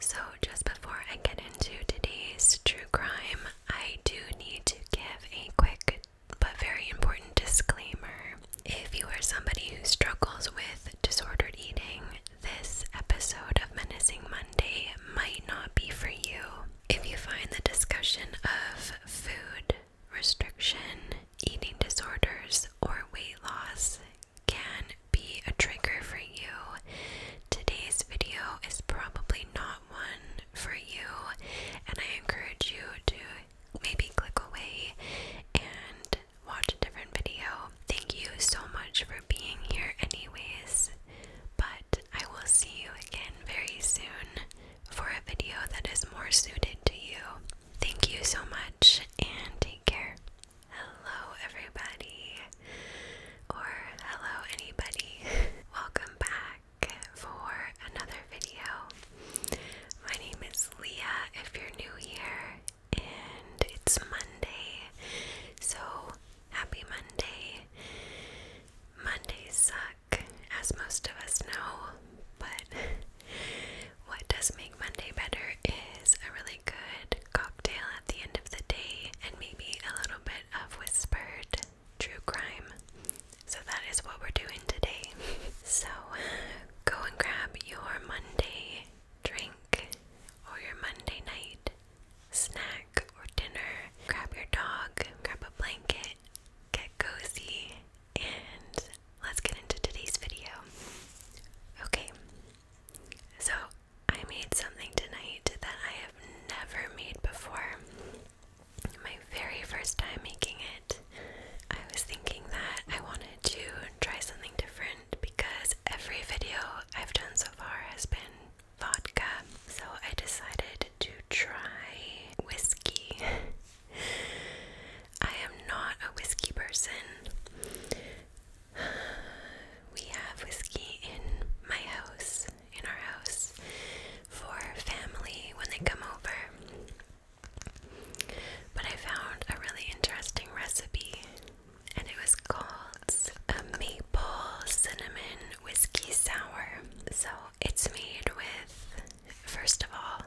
So, just before I get into today's true crime, I do need to give a quick but very important disclaimer. If you are somebody who struggles with disordered eating, this episode of Menacing Monday might not be for you. If you find the discussion of food restriction, eating disorders, or weight loss can be a trigger for you. Today's video is probably not one for you, and I encourage you to maybe click away and watch a different video. Thank you so much for being here, anyways. But I will see you again very soon for a video that is more suited to you. Thank you so much and take care. Hello, everybody, or hello, anybody. Welcome back for another video. My name is Leah, if you're new here, and it's Monday, so happy Monday. Mondays suck, as most of us know, but what does make Monday better is a really good cocktail at the end of the day and maybe a little bit of whispered true crime. So that is what we're doing today. So go and grab your Monday drink or your Monday night snack or dinner. Grab your dog, grab a blanket, get cozy, and let's get into today's video. Okay, so I made something tonight that I have never made before. My very first time making it. I was thinking that I wanted to try something different because every video I've done so far has been vodka. So I decided to try whiskey. I am not a whiskey person. We have whiskey in my house, in our house, for family when they come over. But I found a really interesting recipe, and it was called a maple cinnamon whiskey sour. So it's made with, first of all,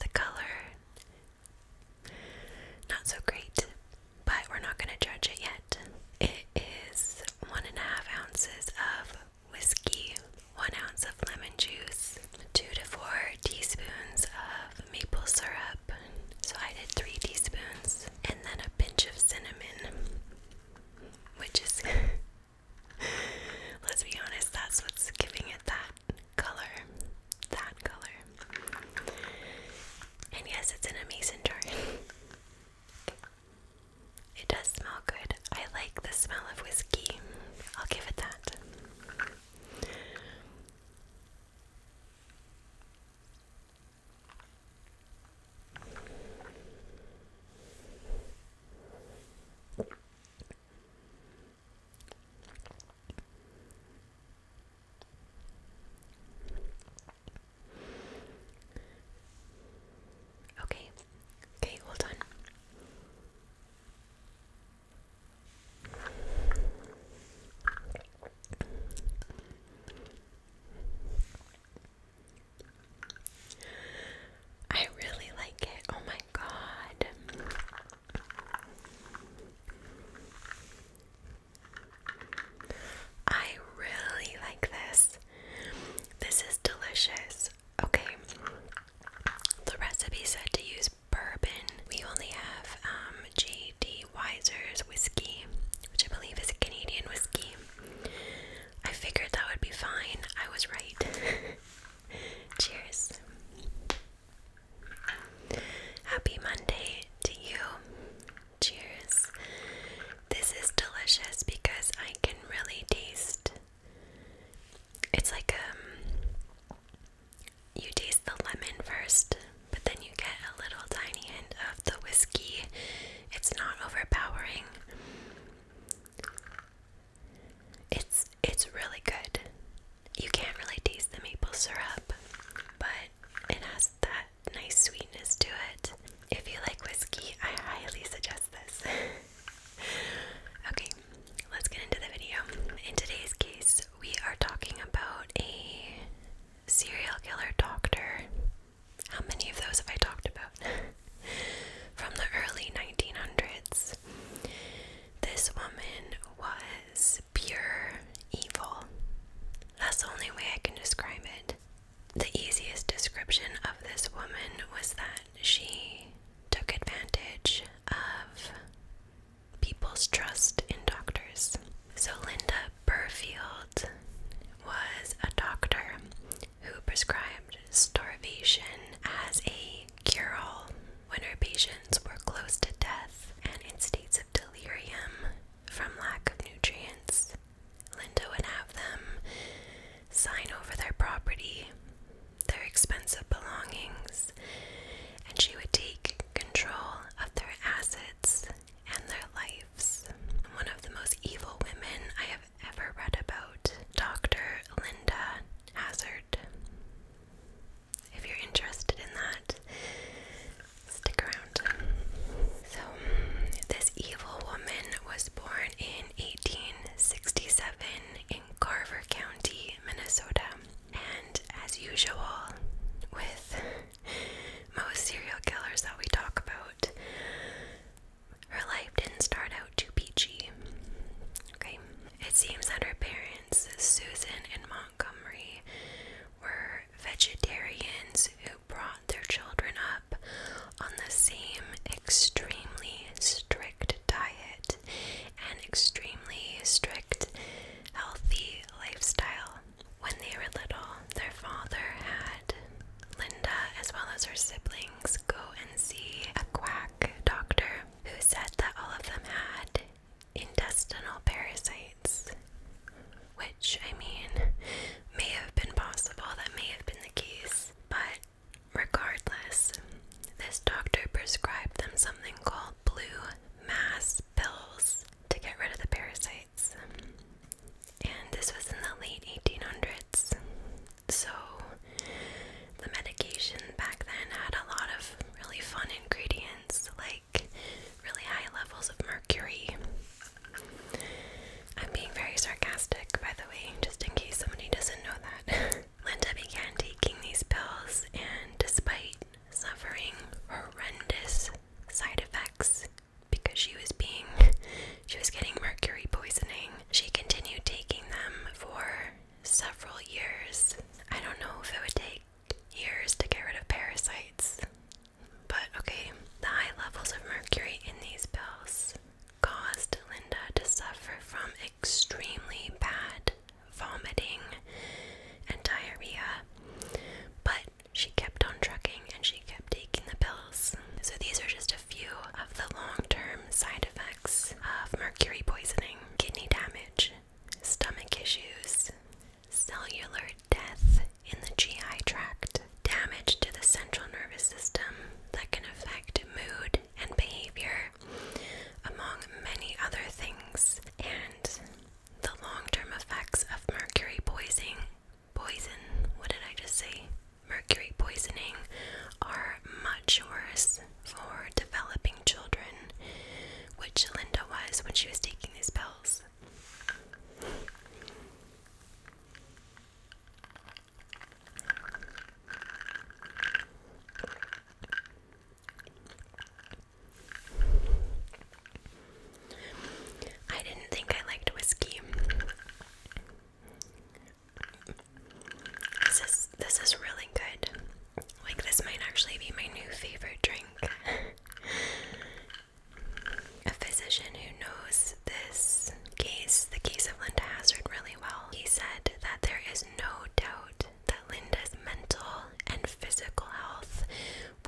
the color. Not so great, but we're not going to judge it yet. It is one and a half ounces of whiskey, one ounce of lemon juice, two to four teaspoons of maple syrup. So I did three teaspoons, and then a pinch of cinnamon, which is, let's be honest, that's what's giving it that color. That color. And yes, it's an amazing mason it does smell good. I like the smell of whiskey. I'll give it that. Okay, okay, hold on. I really like it. Oh my god. I really like this. This is delicious. Okay. The recipe said to use bourbon. We only have um, J.D. Weiser's whiskey, which I believe is a Canadian whiskey. I figured that would be fine. I was right. Cheers. Happy Monday to you. Cheers. This is delicious because I can really taste it's like um you taste the lemon first, but then you get a little tiny hint of the whiskey. It's not overpowering. It's it's really good. You can't really taste the maple syrup, but it has that nice sweetness to it. If you like whiskey, I highly suggest this. okay, let's get into the video. In today's case, we are talking about a serial killer doctor. How many of those have I talked about? From the early 1900s. This woman was pure evil. That's the only way I can describe it the easiest description of this woman was that she took advantage of people's trust in doctors. So, Linda Burfield was a doctor who prescribed starvation as a cure all when her patients were close to death and in states of delirium from lack of nutrients. Linda would have them sign over their property, their expensive belongings, and she would take control of their assets and their lives. One of the most evil women I have ever read about, Dr. Linda Hazard. If you're interested in that, Stick around. So, this evil woman was born in 1867 in Carver County, Minnesota. And as usual, with most serial killers that we talk about, her life didn't start out too peachy. Okay, it seems that her parents, Susan and Montgomery, were vegetarians who brought their children up on the same extremely strict diet and extremely strict healthy lifestyle. When they were little, their father had Linda, as well as her siblings, go and see a quack doctor who said that all of them had intestinal parasites. Which, I mean, may have been possible, that may have been the case, but regardless, this doctor prescribed them something called blue mass pills to get rid of the parasites. And this was in the late 1800s. So the medication back then had a lot of really fun ingredients, like really high levels of mercury, I'm being very sarcastic, by the way, just in case somebody doesn't know that. Linda began taking these pills, and despite suffering horrendous side effects because she was being she was getting mercury poisoning, she continued taking them for several years. I don't know if it would take years to get rid of parasites. But okay, the high levels of mercury in these pills caused Linda to suffer from extremely bad vomiting and diarrhea. But she kept on trucking and she kept taking the pills. So these are just a few of the long term side effects of mercury poisoning kidney damage, stomach issues, cellular death in the GI tract, damage to the central nervous system that can affect mood and behavior, among many other things, and the long term effects of mercury poisoning. Poison, what did I just say? Mercury poisoning are much worse for developing children, which Linda was when she was taking these pills. I didn't think I liked whiskey. This is this is really good. Like this might actually be my new favorite drink. a physician who knows this case, the case of Linda Hazard, really well. He said that there is no doubt that Linda's mental and physical health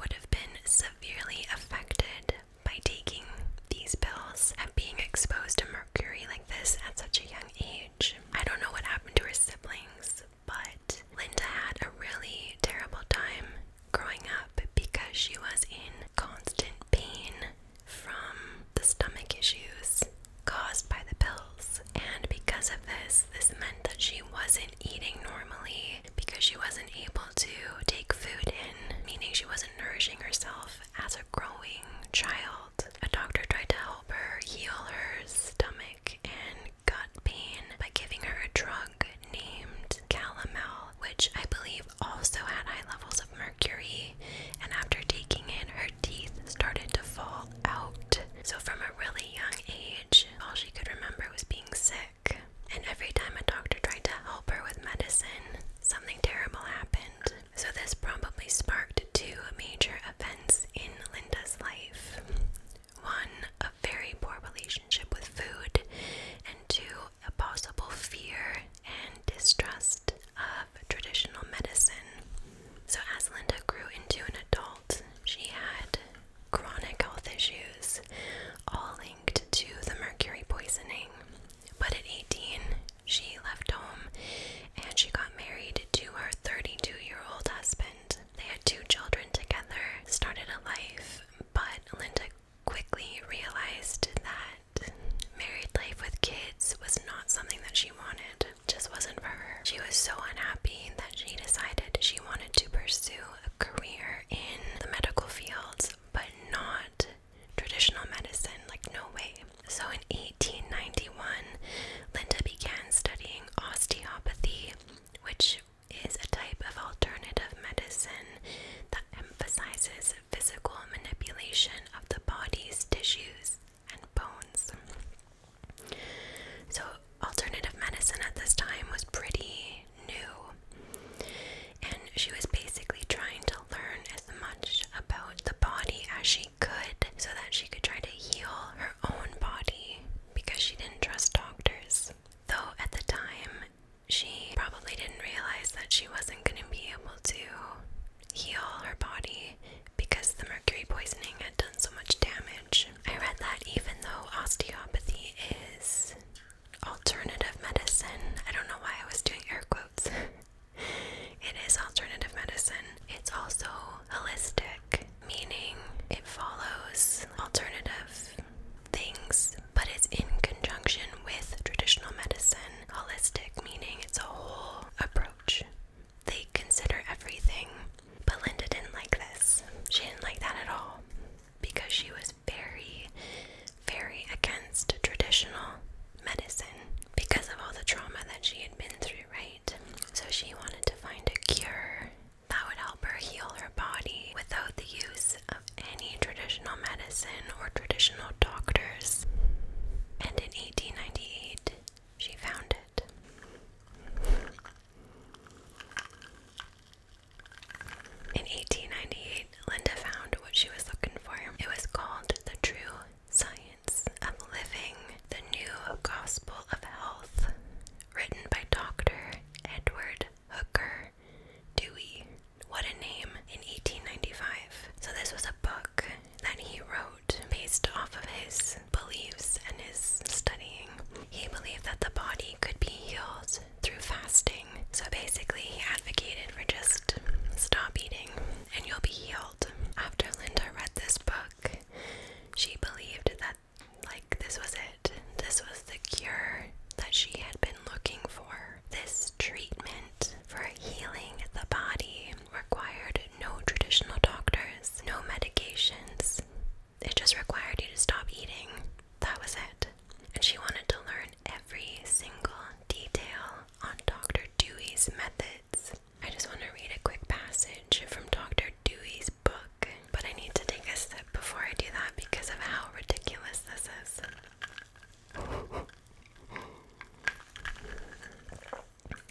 would have been severely affected by taking these pills and being exposed to mercury like this at such a young age. I don't know what happened to her siblings, but Linda had a really terrible time growing up because she was in constant pain from the stomach issues caused by the pills. And because of this, this meant that she wasn't eating normally because she wasn't able to take food in, meaning she wasn't nourishing herself as a growing child. A doctor tried to help her heal her stomach and gut pain by giving her a drug named Calamel, which I believe also had high levels of mercury. And after taking it, her teeth started to fall out. So, from a really young age, all she could remember was being sick. And every time a doctor tried to help her with medicine, something terrible happened. So, this probably sparked two major events in Linda's life one, a very poor relationship with food, and two, a possible fear and distrust of traditional medicine. So, as Linda grew into an adult, she had chronic health issues, all linked to the mercury poisoning. But at 18, she left home and she got married to her 32 year old husband. They had two children together, started a life, but Linda quickly realized that married life with kids was not something that she wanted. just wasn't for her. She was so unhappy that she decided she wanted to pursue a career in the medical field, but not traditional medicine, like no way. So in 1891, Linda began studying osteopathy, which is a type of alternative medicine emphasizes physical manipulation of the body's tissues and bones. So, alternative medicine at this time was pretty new, and she was basically trying to learn as much about the body as she could so that she could try to heal her own body because she didn't trust doctors. Though at the time, she probably didn't realize that she wasn't going to be able to heal her body because the mercury poisoning had done so much damage. I read that even though osteopathy is alternative medicine, I don't know why I was doing air quotes. it is alternative medicine. It's also holistic, meaning it follows alternatives things, but it's in conjunction with traditional medicine. Holistic, meaning it's a whole approach. They consider everything. But Linda didn't like this. She didn't like that at all because she was very, very against traditional medicine because of all the trauma that she had been through, right? So she wanted to find a cure that would help her heal her body without the use of any traditional medicine or traditional doctors, and in 1898 she found it. In 1898, Linda found what she was looking for. It was called The True Science of Living, the New Gospel of Health, written by Dr. Edward Hooker Dewey. What a Name in 1895. So, this was a book that he wrote based off of his beliefs and his studying. He believed that the body could be healed through fasting. So, basically, he advocated for just stop eating and you'll be healed. After Linda read this book, she believed that, like, this was it. This was the cure that she had been looking for. This treatment for healing the body required no traditional doctors, no medications. It just required you to stop eating. That was it. And she wanted to learn every single detail on Dr. Dewey's methods. I just want to read a quick passage from Dr. Dewey's book, but I need to take a sip before I do that because of how ridiculous this is.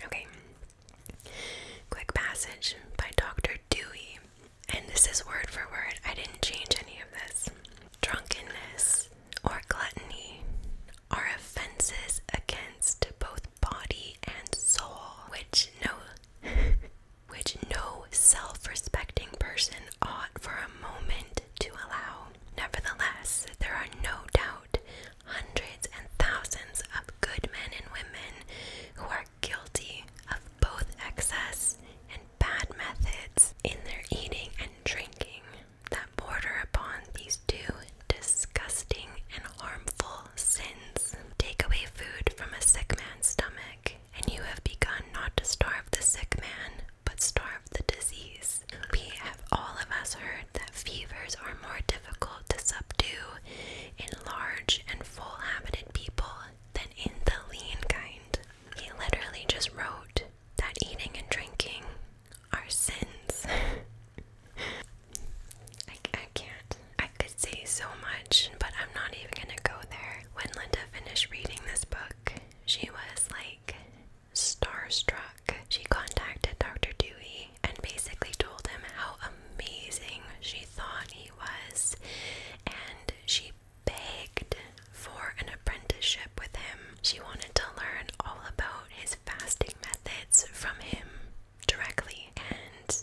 Okay. Quick passage by Dr. Dewey. And this is word for word. I didn't change any of this. Drunkenness or gluttony are offenses against both body and soul, which no which no self-respecting person ought for a moment to allow. Nevertheless, there are no doubt hundreds and thousands of good men and women who are guilty of both excess and bad methods in their eating and drinking that border upon these two disgusting and harmful sins. Take away food from a sick man's stomach, and you have begun not to starve the sick man, but starve the disease. We have all of us heard that fevers are more difficult to subdue in large and full habited people than in the lean kind. He literally just wrote that eating and drinking are sins. I can't. I could say so much, but I'm not even gonna go there. When Linda finished reading this book, she was like starstruck. She contacted Dr. Dewey and basically told him how amazing she thought he was, and she begged for an apprenticeship with him. She wanted to learn all about his fasting methods from him directly, and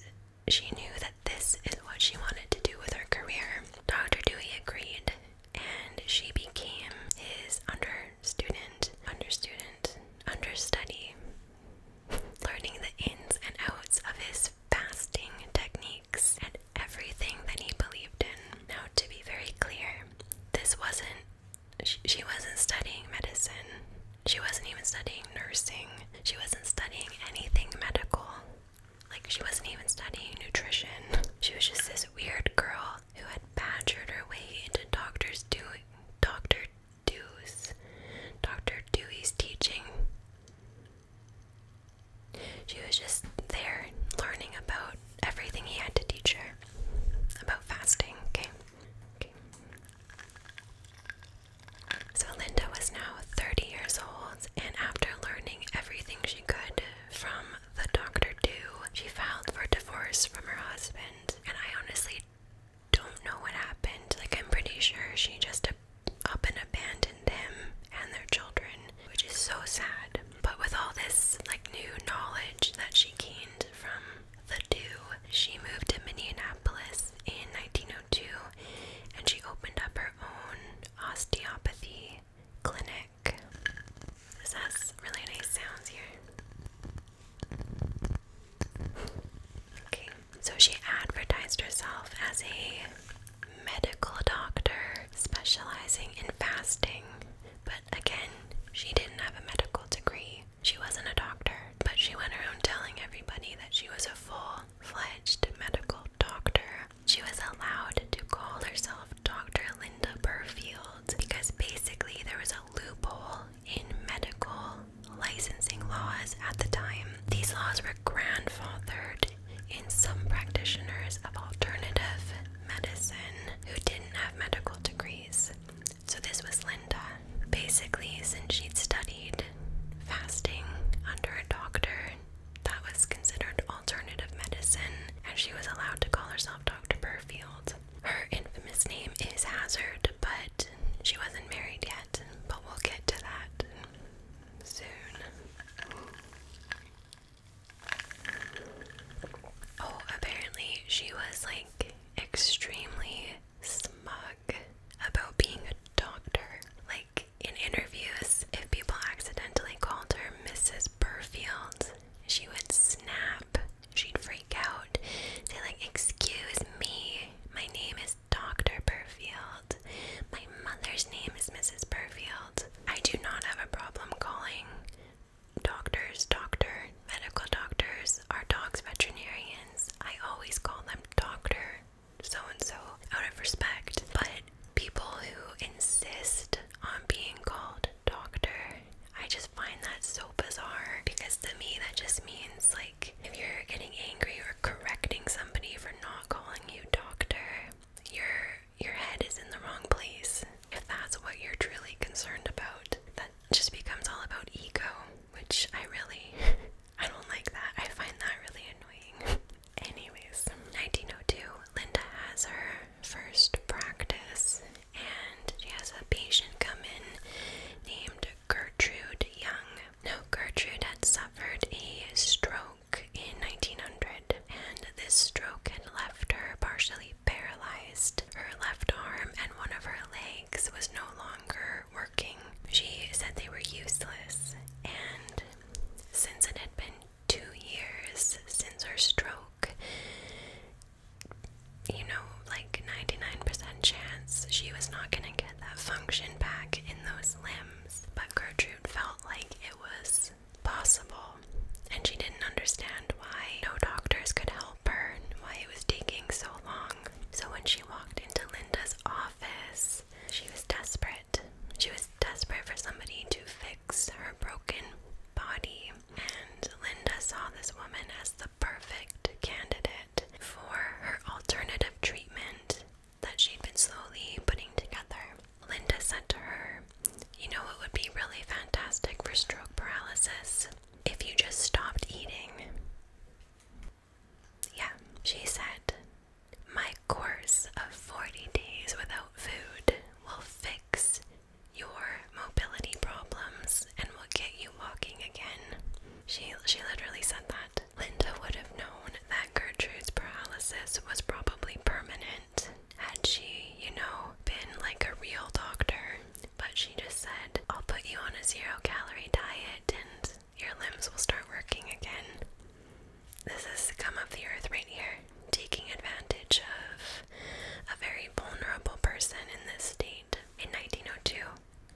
she knew that this is what she wanted to do with her career. Dr. Dewey agreed and she became his under student, under student, understudy, learning the ins and outs of his fasting techniques and everything that he believed in. Now, to be very clear, this wasn't, she, she wasn't studying medicine. She wasn't even studying nursing. She wasn't studying anything medical. Like, she wasn't even studying nutrition. She was just this weird girl who had badgered her way into doctors do Dr. Dewey's, Dr. Dewey's teaching. She was just there learning about everything he had to teach her about fasting, okay? okay. So Linda was now 30 years old, and after learning everything she could from the doctor do. She filed for divorce from her husband, and I honestly don't know what happened. Like, I'm pretty sure she just up and abandoned him and their children, which is so sad. But with all this, like, new knowledge that she gained from the do, she moved to Minneapolis in 1902 and she opened up her own osteopathy clinic. Okay, so she advertised herself as a medical doctor specializing in fasting, but again, she didn't have a medical degree. She wasn't a doctor, but she went around telling everybody that she was a full fledged medical doctor she was allowed to call herself Dr. Linda Burfield because basically there was a loophole in medical licensing laws at the time. These laws were grandfathered in some practitioners of alternative medicine who didn't have medical degrees. So this was Linda. Basically, since she'd studied fasting under a doctor, that was considered alternative medicine. And she was allowed to call herself Dr. Burfield. Her infamous name is Hazard, but she wasn't married yet, but we'll get to that soon. Oh, apparently she was like extremely smug about being a doctor. Like in interviews, if people accidentally called her Mrs. Burfield, she would snap. She'd freak out. Say like, "Excuse me, my name is Doctor Burfield. My mother's name is Mrs. Burfield. I do not have a problem calling doctors doctor, medical doctors, our dogs veterinarians. I always call them doctor." so and so out of respect, but people who insist on being called doctor. I just find that so bizarre because to me that just means like if you're getting angry or correcting somebody for not calling you doctor, your your head is in the wrong place. If that's what you're truly concerned about, that just becomes all about ego, which I really I don't like that. I find that really annoying. Anyways, 1902, Linda has her first practice, and she has a patient come in named Gertrude Young. Now, Gertrude had suffered a stroke in 1900, and this stroke had left her partially paralyzed. Her left arm and one of her legs was no longer working. She said they were useless, and since it had been two years since her stroke. You know, like 99% chance she was not going to get that function back in those limbs. But Gertrude felt like it was possible, and she didn't understand why no doctors could help her why it was taking so long. So when she walked into Linda's office, she was desperate. She was desperate for somebody to fix her broken body. And Linda saw this woman as the perfect candidate for her alternative treatment that she'd been slowly putting together. Linda said to her, You know, it would be really fantastic for stroke paralysis if you just stopped eating. Yeah, she said, My course of 40 days without food will fix your mobility problems and will get you walking again. She, she literally said that. Linda would have known that Gertrude's paralysis was probably permanent had she, you know, been like a real doctor. But she just said, I'll put you on a zero calorie diet and your limbs will start working again. This is come up the earth right here taking advantage of a very vulnerable person in this state. In 1902,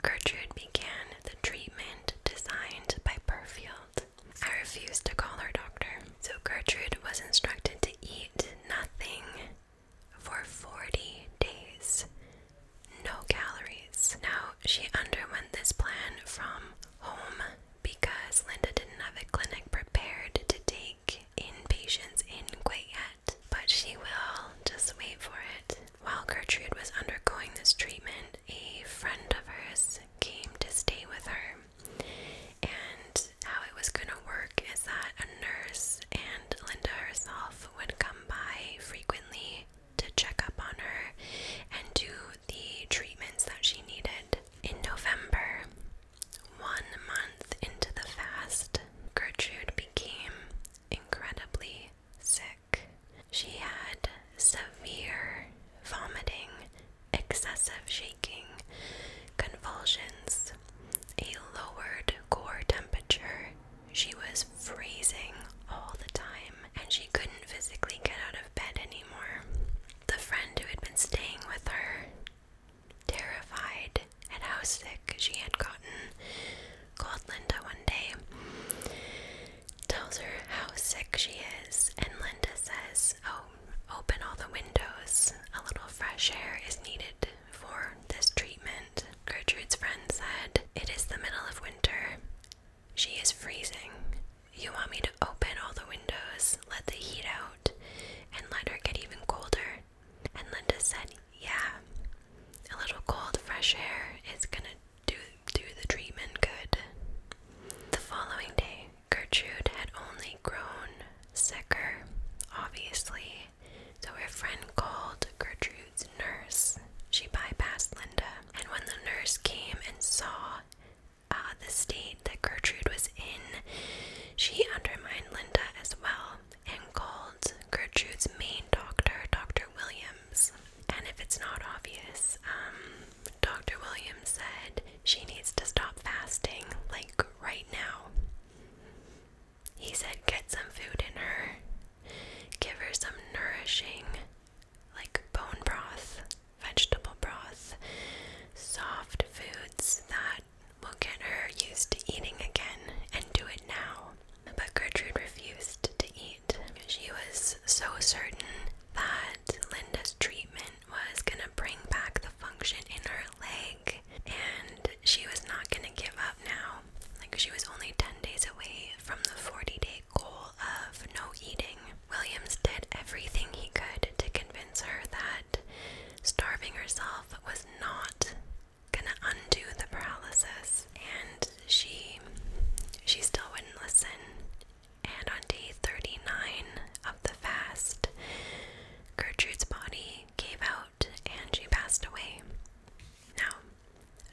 Gertrude began the treatment designed by Burfield. I refused to call her doctor. So Gertrude was instructed to eat nothing for 40 days. No calories. Now, she underwent this plan from home because Linda didn't have a clinic prepared to take take inpatients in quiet, yet, but she will. Just wait for it. While Gertrude was undergoing this treatment, a friend of hers came to stay with her. And how it was going to work is that a nurse and Linda herself would come by frequently to check up on her and do the treatments that she needed. In November, one month into the fast, Gertrude became incredibly sick. She had severe vomiting, excessive shaking, convulsions, a lowered core temperature. She was freezing all the time and she couldn't physically get out of bed anymore. The friend who had been staying with her Terrified and how sick she had gotten, called Linda one day, tells her how sick she is, and Linda says, Oh, open all the windows. A little fresh air is needed for this treatment. Gertrude's friend said, It is the middle of winter. She is freezing. You want me to open all the windows, let the heat out, and let her get even colder? And Linda said, Yeah, a little cold, fresh air is gonna do, do the treatment good. The following day, Gertrude had only grown sicker, obviously, so her friend called Gertrude's nurse. She bypassed Linda, and when the nurse came and saw uh, the state that Gertrude was in, she undermined Linda as well and called Gertrude's main doctor, Dr. Williams. And if it's not obvious, um, Dr. Williams said she needs to stop fasting, like right now. He said, get some food in her, give her some nourishing, like bone broth, vegetable broth, soft foods that We'll get her used to eating again and do it now. But Gertrude refused to eat. She was so certain that Linda's treatment was gonna bring back the function in her leg, and she was not gonna give up now. Like, she was only 10 days away from the 40 day goal of no eating. Williams did everything he could to convince her that Starving herself was not gonna undo the paralysis, and she she still wouldn't listen. And on day 39 of the fast, Gertrude's body gave out and she passed away. Now,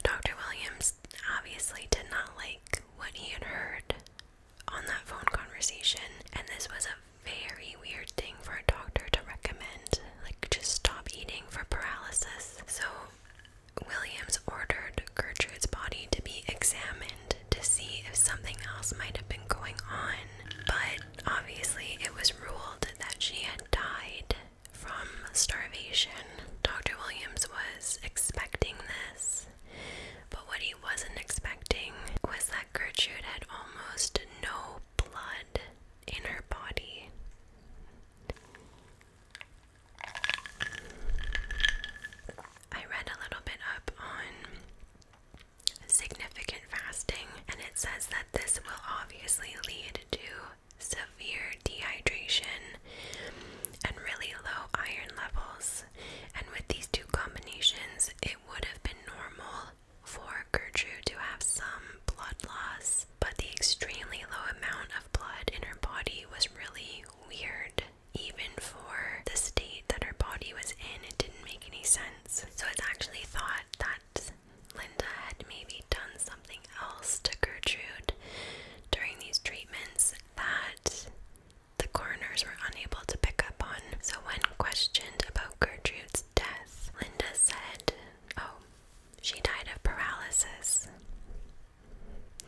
Dr. Williams obviously did not like what he had heard on that phone conversation, and this was a very weird thing for a doctor to recommend, like just stop eating for paralysis. So Williams ordered Gertrude's body to be examined to see if something else might have been going on, but obviously it was ruled that she had died from starvation. Dr. Williams was expecting this, but what he wasn't expecting was that Gertrude had almost no blood in her body. I read a little bit up on significant fasting, and it says that this will obviously lead to severe dehydration and really low iron levels. And with these two combinations, it would have been normal for Gertrude to have some blood loss, but the extremely low amount of blood in her body was really weird. Even for the state that her body was in, it didn't make any sense. So it's actually thought that Linda had maybe done something else to Gertrude during these treatments that the coroners were unable to pick up on. So, when questioned about Gertrude's death, Linda said, Oh, she died of paralysis.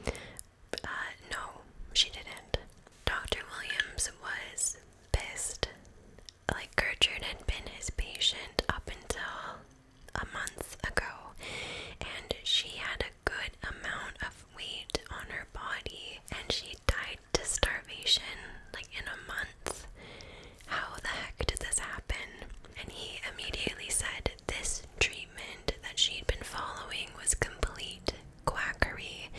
Uh, no, she didn't. Dr. Williams was pissed. Like, Gertrude had been his patient up until a month ago, and she had a good amount of weight on her body, and she died to starvation, like in a month. How the heck did this happen? And he immediately said this treatment that she'd been following was complete quackery,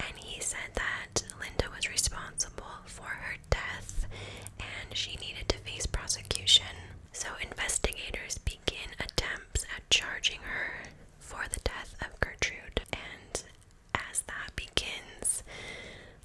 and he said that Linda was responsible for her death and she needed to face prosecution. So, investigators begin attempts at charging her for the death of Gertrude, and as that begins,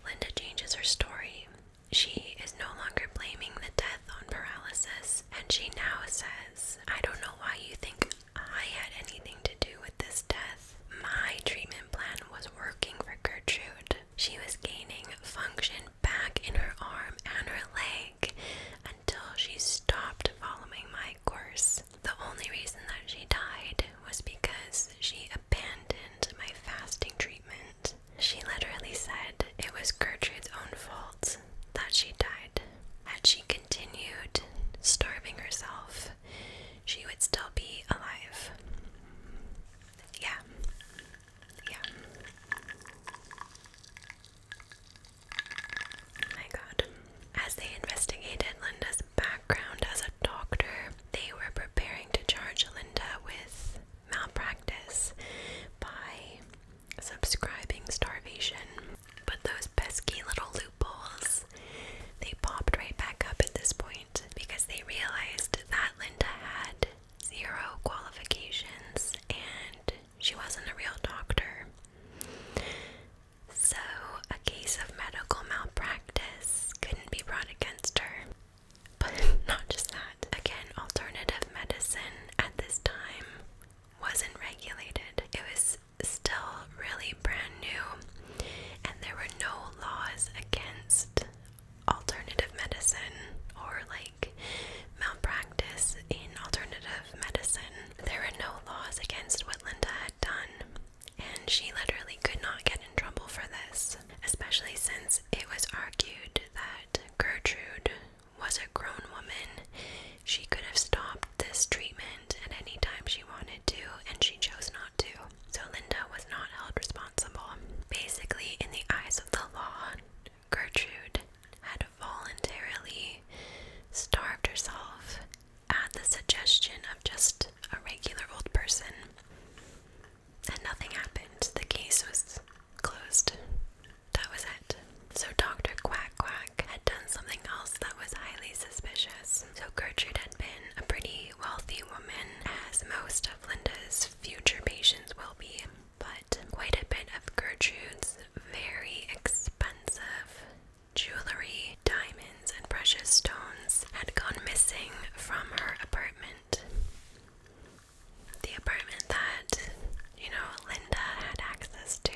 Linda changes her story. She is no longer blaming the death on paralysis, and she now says, I don't know why you think I had anything to do with this death. My treatment plan was working for Gertrude. She was gaining function back in her arm and her leg until she stopped following my course. The only reason that she died was because she abandoned my fasting treatment. She literally said it was Gertrude's own fault that she died. Had she continued starving herself, she would still be alive. Yeah. Yeah. My god. As they investigated Linda's background as a doctor, they were preparing to charge Linda with malpractice by subscribing starvation. But those pesky little loopholes, they popped right back up at this point because they realized that Linda had zero qualifications and she wasn't a real doctor. So, a case of medical malpractice couldn't be brought against her. But not just that. Again, alternative medicine at this time wasn't regulated. It was still really brand new, and there were no laws against alternative medicine or like malpractice in alternative medicine. There were no laws against what Linda had done and she literally could not get in trouble for this, especially since it was argued that Gertrude was a grown woman. She could have stopped this treatment at any time she wanted to, and she chose not to. So Linda was not held responsible. Basically, in the eyes of the law, Gertrude had voluntarily starved herself at the suggestion of just a regular old person. And nothing happened. The case was closed. That was it. So Dr. Quack Quack had done something else that was highly suspicious. So Gertrude had been a pretty wealthy woman, as most of Linda's future patients will be. But quite a bit of Gertrude's very expensive jewelry, diamonds, and precious stones had gone missing from her apartment. The apartment that, you know, Linda had access to.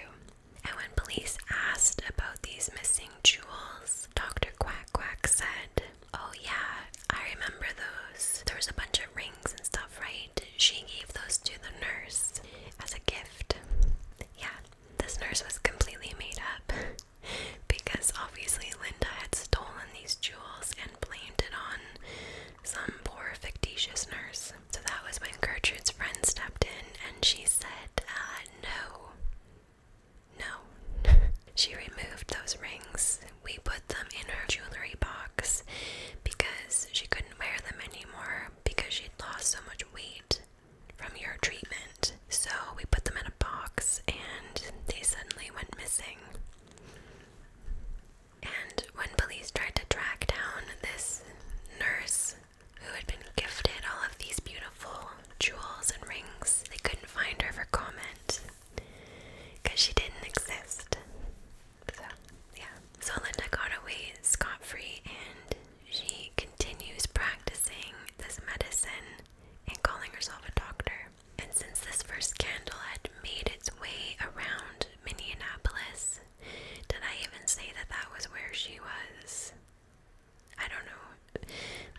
And when police asked about these missing jewels, Dr. Quack Quack said, Oh, yeah, I remember those. There was a bunch of rings and stuff, right? She gave those to the nurse as a gift. Yeah, this nurse was completely made up because obviously Linda had stolen these jewels and blamed it on some poor fictitious nurse. So that was when Gertrude's friend stepped in and she said, uh, no. No. she removed those rings. We put them in her jewelry box because she couldn't wear them anymore because she'd lost so much weight from your treatment so we put them in a box and they suddenly went missing. And when police tried to track down this nurse who had been gifted all of these beautiful jewels and rings, they couldn't find her for comment because she didn't exist. So, yeah. So Linda got away scot free and she continues practicing this medicine and calling herself a doctor. And since this first scandal had made its way around Minneapolis, did I even say that that was where she was? I don't know.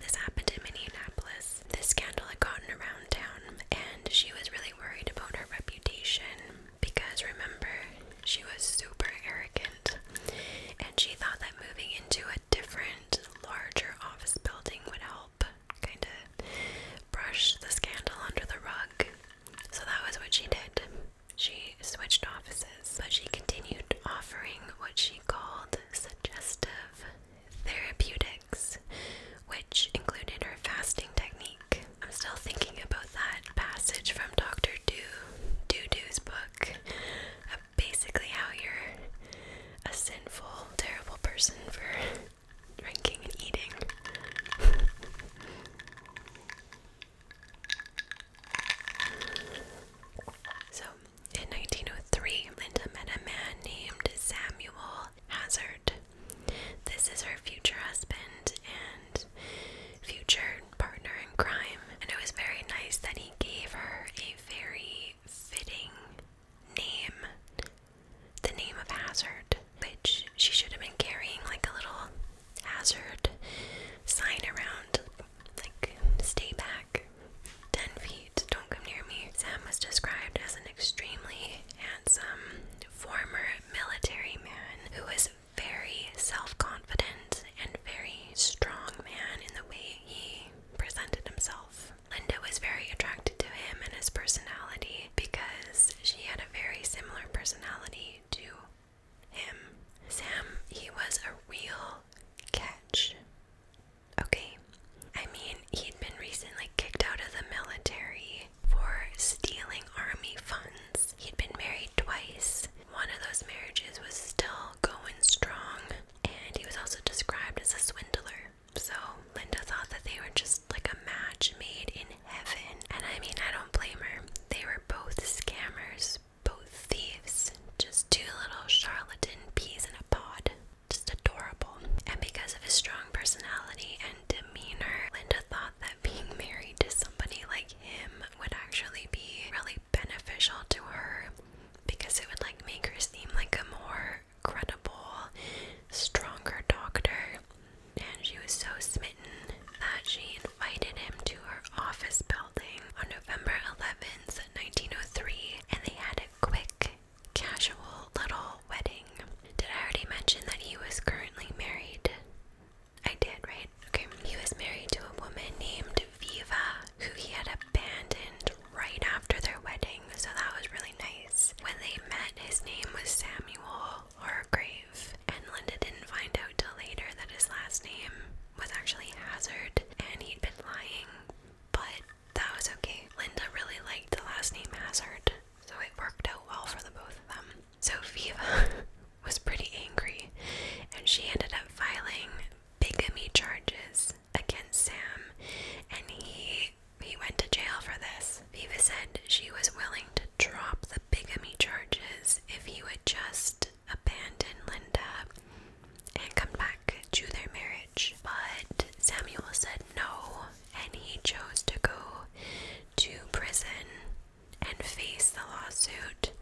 This happened in Minneapolis. This scandal had gotten around town, and she was really worried about her reputation because remember, she was super arrogant and she thought that moving into a different, larger office building would help kind of brush the scandal under the rug. So that was what she did. She switched offices, but she continued offering what she called suggestive therapeutics, which included her fasting technique. I'm still thinking about that passage from Dr. Do Doo Doo's book basically how you're a sinful, terrible person for drinking and eating. so, in 1903, Linda met a man named Samuel Hazard. This is her future husband and future partner in crime, and it was very nice that he gave her a very fitting name, the name of Hazard, which she should have been carrying like a little hazard sign around, like, stay back 10 feet, don't come near me. Sam was described as an extremely handsome former military man who was very self confident and very strong man in the way he presented himself. Linda was very attracted to him and his personality because she had a very similar personality to him. Sam, he was a real catch. Okay. I mean, he'd been recently kicked out of the military for stealing army funds. He'd been married twice. One of those marriages was still going strong, and he was also described as a swindler. So Linda thought that they were just like a match made in heaven. And I mean, I don't blame her. They were both scammers, both thieves, just two little charlatan peas in a pod. Just adorable. And because of his strong personality and demeanor, Linda thought that being married to somebody like him would actually be really beneficial to her because it would like make her seem like a more more credible, stronger doctor, and she was so smitten that she invited him to her office building on November 11th, 1903, and they had a quick, casual little wedding. Did I already mention that he was currently married? I did, right? Okay. He was married to a woman named Viva, who he had abandoned right after their wedding, so that was really nice. When they met, his name was Samuel Hargrave, and Linda didn't find out till later that his last name was actually Hazard, and he'd been lying, but that was okay. Linda really liked the last name Hazard, so it worked out well for the both of them. So Viva was pretty angry, and she ended up filing bigamy charges against Sam, and he he went to jail for this. Viva said she was willing to drop the bigamy charges if he would just abandon Linda and come back to their marriage. But Samuel said no, and he chose to go to prison and face the lawsuit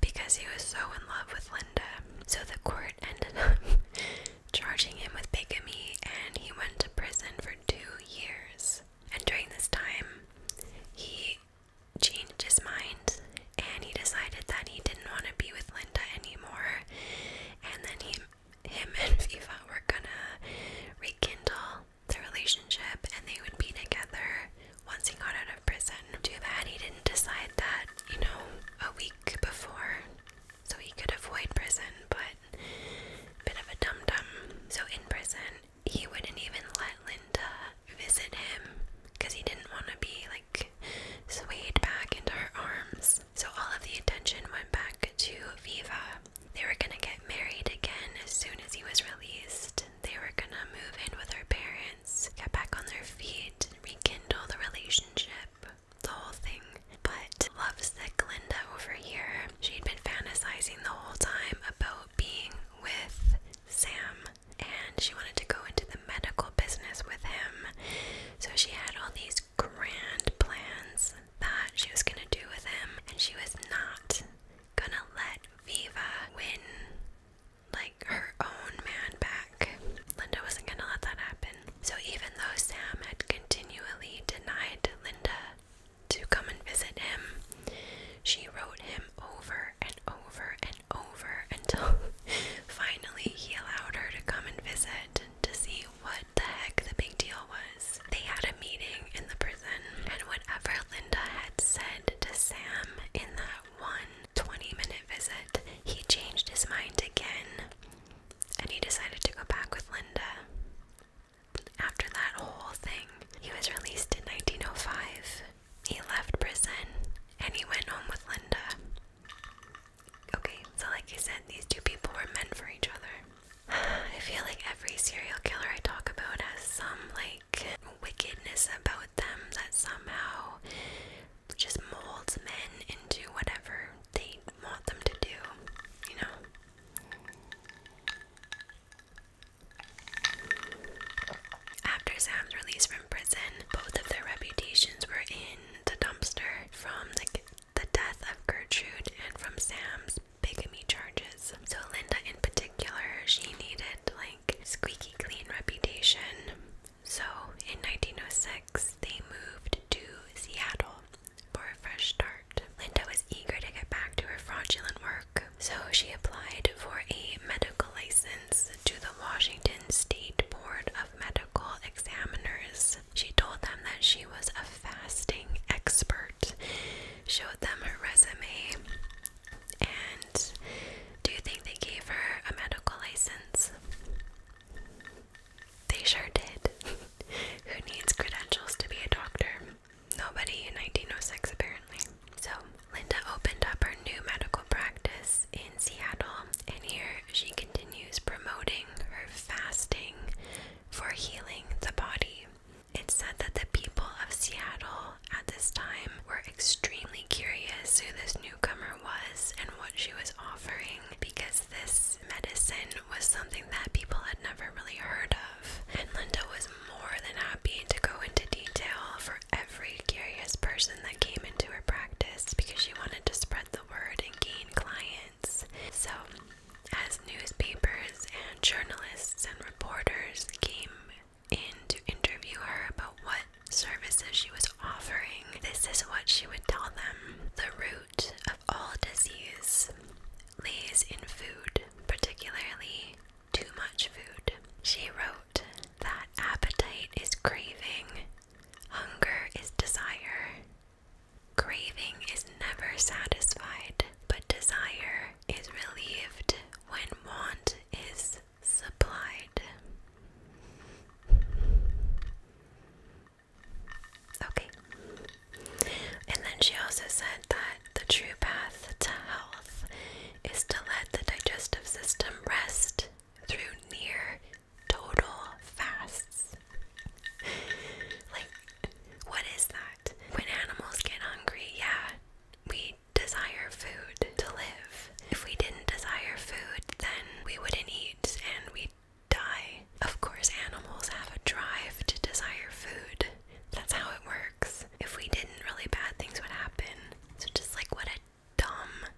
because he was so in love with Linda. So the court ended up charging him with bigamy, and he went to prison for two years. And during this time, he changed his mind and he decided that he didn't want to be with Linda anymore. And then he, him and Viva were gonna rekindle their relationship and they would be together once he got out of prison. Too bad he didn't decide that, you know, a week before so he could avoid prison, but bit of a dum dum. So in prison, he wouldn't even let Linda visit him because he didn't want to be like swayed back into her arms. So all of the attention went back to Viva. They were gonna get married again as soon as he was released. They were gonna move in with her parents, get back on their feet, rekindle the relationship the whole thing. But lovesick Linda over here, she'd been fantasizing the whole time about being with Sam and she wanted to go into the medical business with him. So she had all these grand plans that she was gonna do with him, and she was not gonna let Viva win like her own man back. Linda wasn't gonna let that happen. So even though Sam had continually denied Linda to come and visit him, she wrote him over and over and over until finally he allowed her to come and visit to see what the heck the big deal was. They had a meeting in the prison, and whatever Linda had said to Sam in that one 20 minute visit, he changed his mind again and he decided to go back with Linda. After that whole thing, he was released in 1905. He left prison and he went home with Linda. Okay, so like I said, these two people were meant for each other. I feel like every serial killer I talk about has some like wickedness about them that somehow just molds men into whatever they they want them to do, you know. After Sam's release from prison, both of their reputations were in the dumpster from the, the death of Gertrude and from Sam's bigamy charges. So, Linda in particular, she needed like squeaky clean reputation. So, in 1906, they moved to Seattle for a fresh start. Linda was eager to get back to her fraudulent work, so she applied for a medical license to the Washington State Board of Medical Examiners. She told them that she was a fasting expert, showed them her resume, and do you think they gave her a medical license? They sure did. Who needs credentials to be a doctor? Nobody in 1906, apparently. So, Linda opened up her new medical practice in Seattle, and here she continues promoting her fasting for healing the body. It's said that the people of Seattle at this time were extremely curious who this newcomer was and what she was offering because this because medicine was something that people had never really heard of, and Linda was more than happy to go into detail for every curious person that came into her practice because she wanted to spread the word and gain clients. So, as newspapers and journalists and reporters came in to interview her about what services she was offering, this is what she would tell them. The root of all disease lies in food, particularly too much food. She wrote that appetite is craving, hunger is desire. Craving is never satisfied, but desire is relieved when want is supplied. Okay. And then she also said that the true path to health is to let the digestive system rest through near total fasts. Like, what is that? When animals get hungry, yeah, we desire food to live. If we didn't desire food, then we wouldn't eat and we die. Of course, animals have a drive to desire food. That's how it works. If we didn't, really bad things would happen. So, just like what a dumb,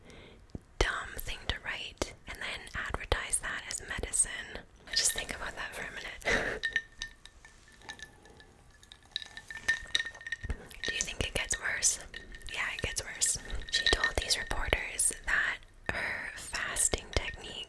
dumb thing to write and then advertise that as medicine. Just think about that for a minute. Do you think it gets worse? Yeah, it gets worse. She told these reporters that her fasting technique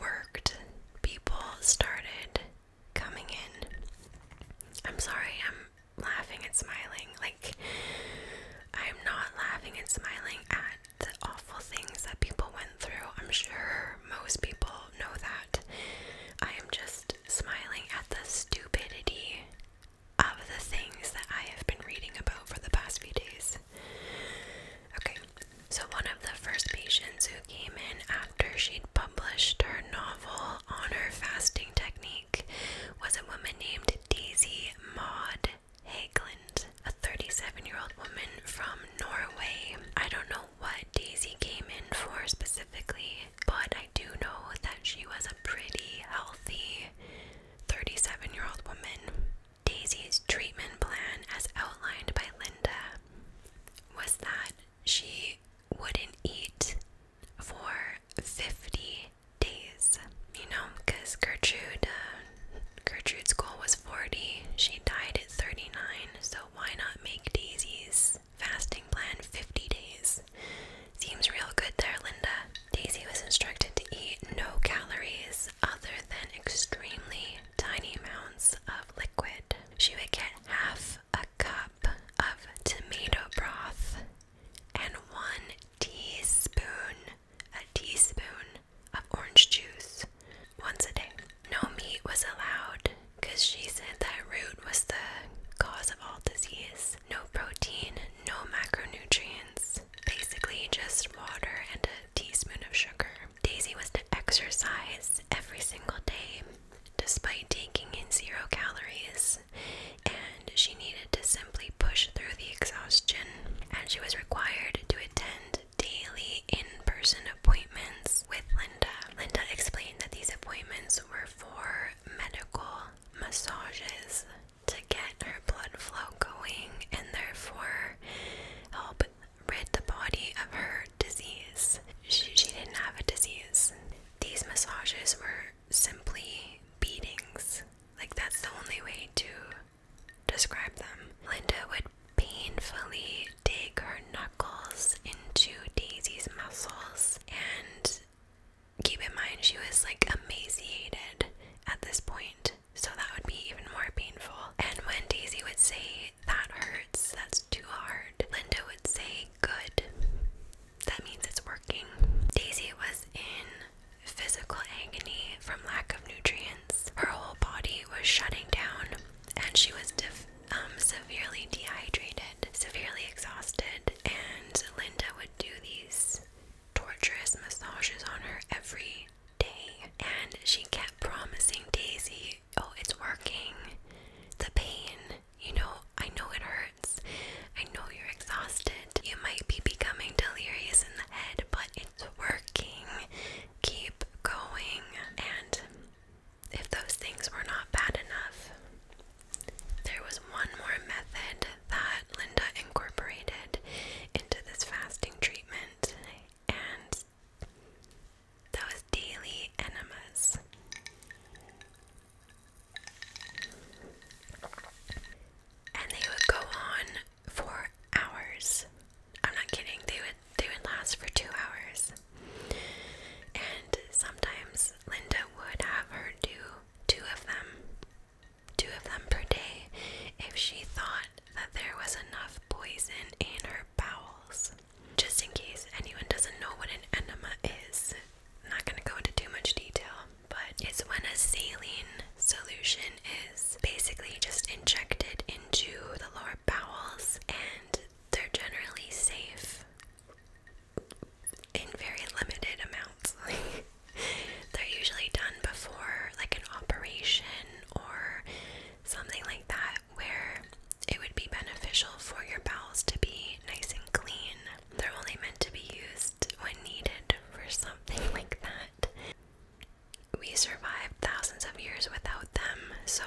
worked. People started coming in. I'm sorry, I'm laughing and smiling. Like, I'm not laughing and smiling at the awful things that people went through. I'm sure most people know that. I am just smiling at the stupidity of the things that I have been reading about for the past few days. Okay, so, one of the first patients who came in after she'd published her novel on her fasting technique was a woman named Daisy Maud Hagland, a 37 year old woman from Norway. I don't know what Daisy came in for specifically, but I do know that she was a pretty healthy 37 year old woman. Daisy's treatment plan, as outlined by Linda, was that she wouldn't eat for 50 days. You know, because Gertrude, uh, Gertrude's goal was 40. She died at 39, so why not make Daisy's fasting plan 50 days? Seems real good there, Linda. Daisy was instructed to eat no calories other than extremely tiny amounts of liquid. She would get half a cup of tomato broth and one teaspoon, a teaspoon of orange juice once a day. No meat was allowed because she said that root was the cause of all disease. No protein, no macronutrients, basically just water and teaspoon of sugar. Daisy was to exercise every single day despite taking in zero calories, and she needed to simply push through the exhaustion. And she was required to attend daily in person appointments with Linda. Linda explained that these appointments were for medical massages to get her blood flow going and therefore help rid the body of her disease. She, she didn't have a disease. These massages were simply beatings. Like, that's the only way to describe them. Linda would painfully dig her knuckles into Daisy's muscles, and keep in mind, she was like emaciated at this point so that would be even more painful. And when Daisy would say, That hurts, that's too hard, Linda would say, Good, that means it's working. Daisy was in physical agony from lack of nutrients, her whole body was shutting down, and she was um, severely dehydrated, severely exhausted, and Linda would do these torturous massages on her every day. And she kept promising Daisy, oh, it's working. The pain, you know, I know it hurts. I know you're exhausted. You might be becoming delirious in the head, but it's working. Keep going. And if those things were not bad enough, there was one more method that Linda incorporated into this fasting treatment, and was that was daily enemas. And they would go on for hours. I'm not kidding. They would they would last for 2 hours. And sometimes Linda would have her do two of them. Two of them per day if she thought that there was enough poison in her bowels. Just in case anyone doesn't know what an enema is, I'm not going to go into too much detail, but it's when a saline solution is basically just injected into the lower bowels, and they're generally safe in very limited amounts. They're usually done before, like, an operation or something like that where it would be beneficial for your bowels to be nice and clean. They're only meant to be used when needed for something like that. We survived thousands of years without them, so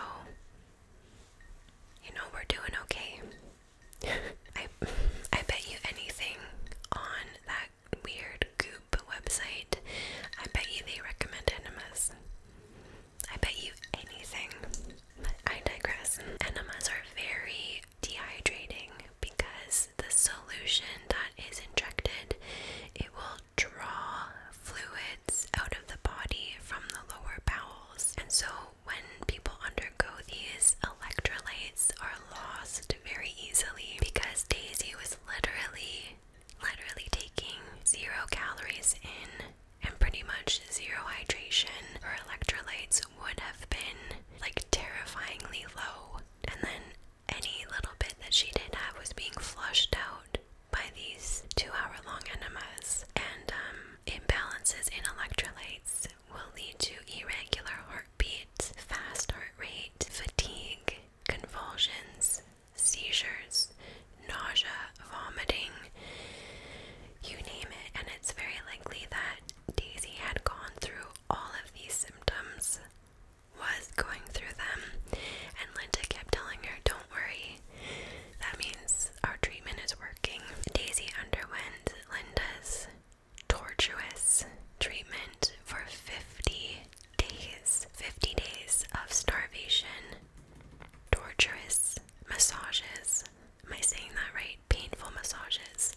you know we're doing okay. I I bet you anything on that weird goo Goop website, I bet you they recommend enemas. I bet you anything. But I digress. Enemas are very dehydrating because the solution that is injected, it will draw fluids out of the body from the lower bowels. And so when people undergo these, electrolytes are lost very easily because Daisy was literally literally taking zero calories in and pretty much zero hydration or electrolytes would have been like terrifyingly low. And then any little bit that she did have was being flushed out by these two hour long enemas. And um, imbalances in electrolytes will lead to irregular heartbeat, fast heart rate, fatigue, convulsions, seizures, nausea, vomiting, you name it. And it's very likely that Daisy had gone through all of these symptoms, was going through them, and Linda kept telling her, Don't worry, that means our treatment is working. Daisy underwent Linda's tortuous treatment for 50 days, 50 days of starvation, torturous massages. Am I saying that right? Painful massages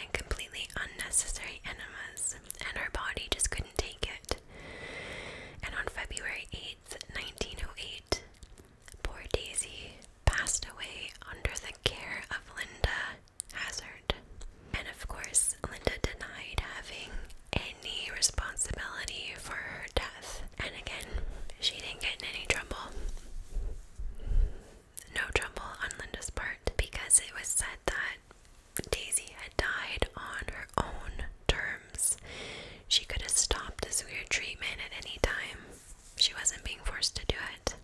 and completely unnecessary enemas, and her body just couldn't take it. And on February 8th, 1908, poor Daisy passed away under the care of Linda Hazard. And of course, Linda denied having any responsibility for her death. And again, she didn't get in any trouble. No trouble on Linda's part because it was said that Daisy had died on her own terms. She could have stopped this weird treatment at any time. She wasn't being forced to do it.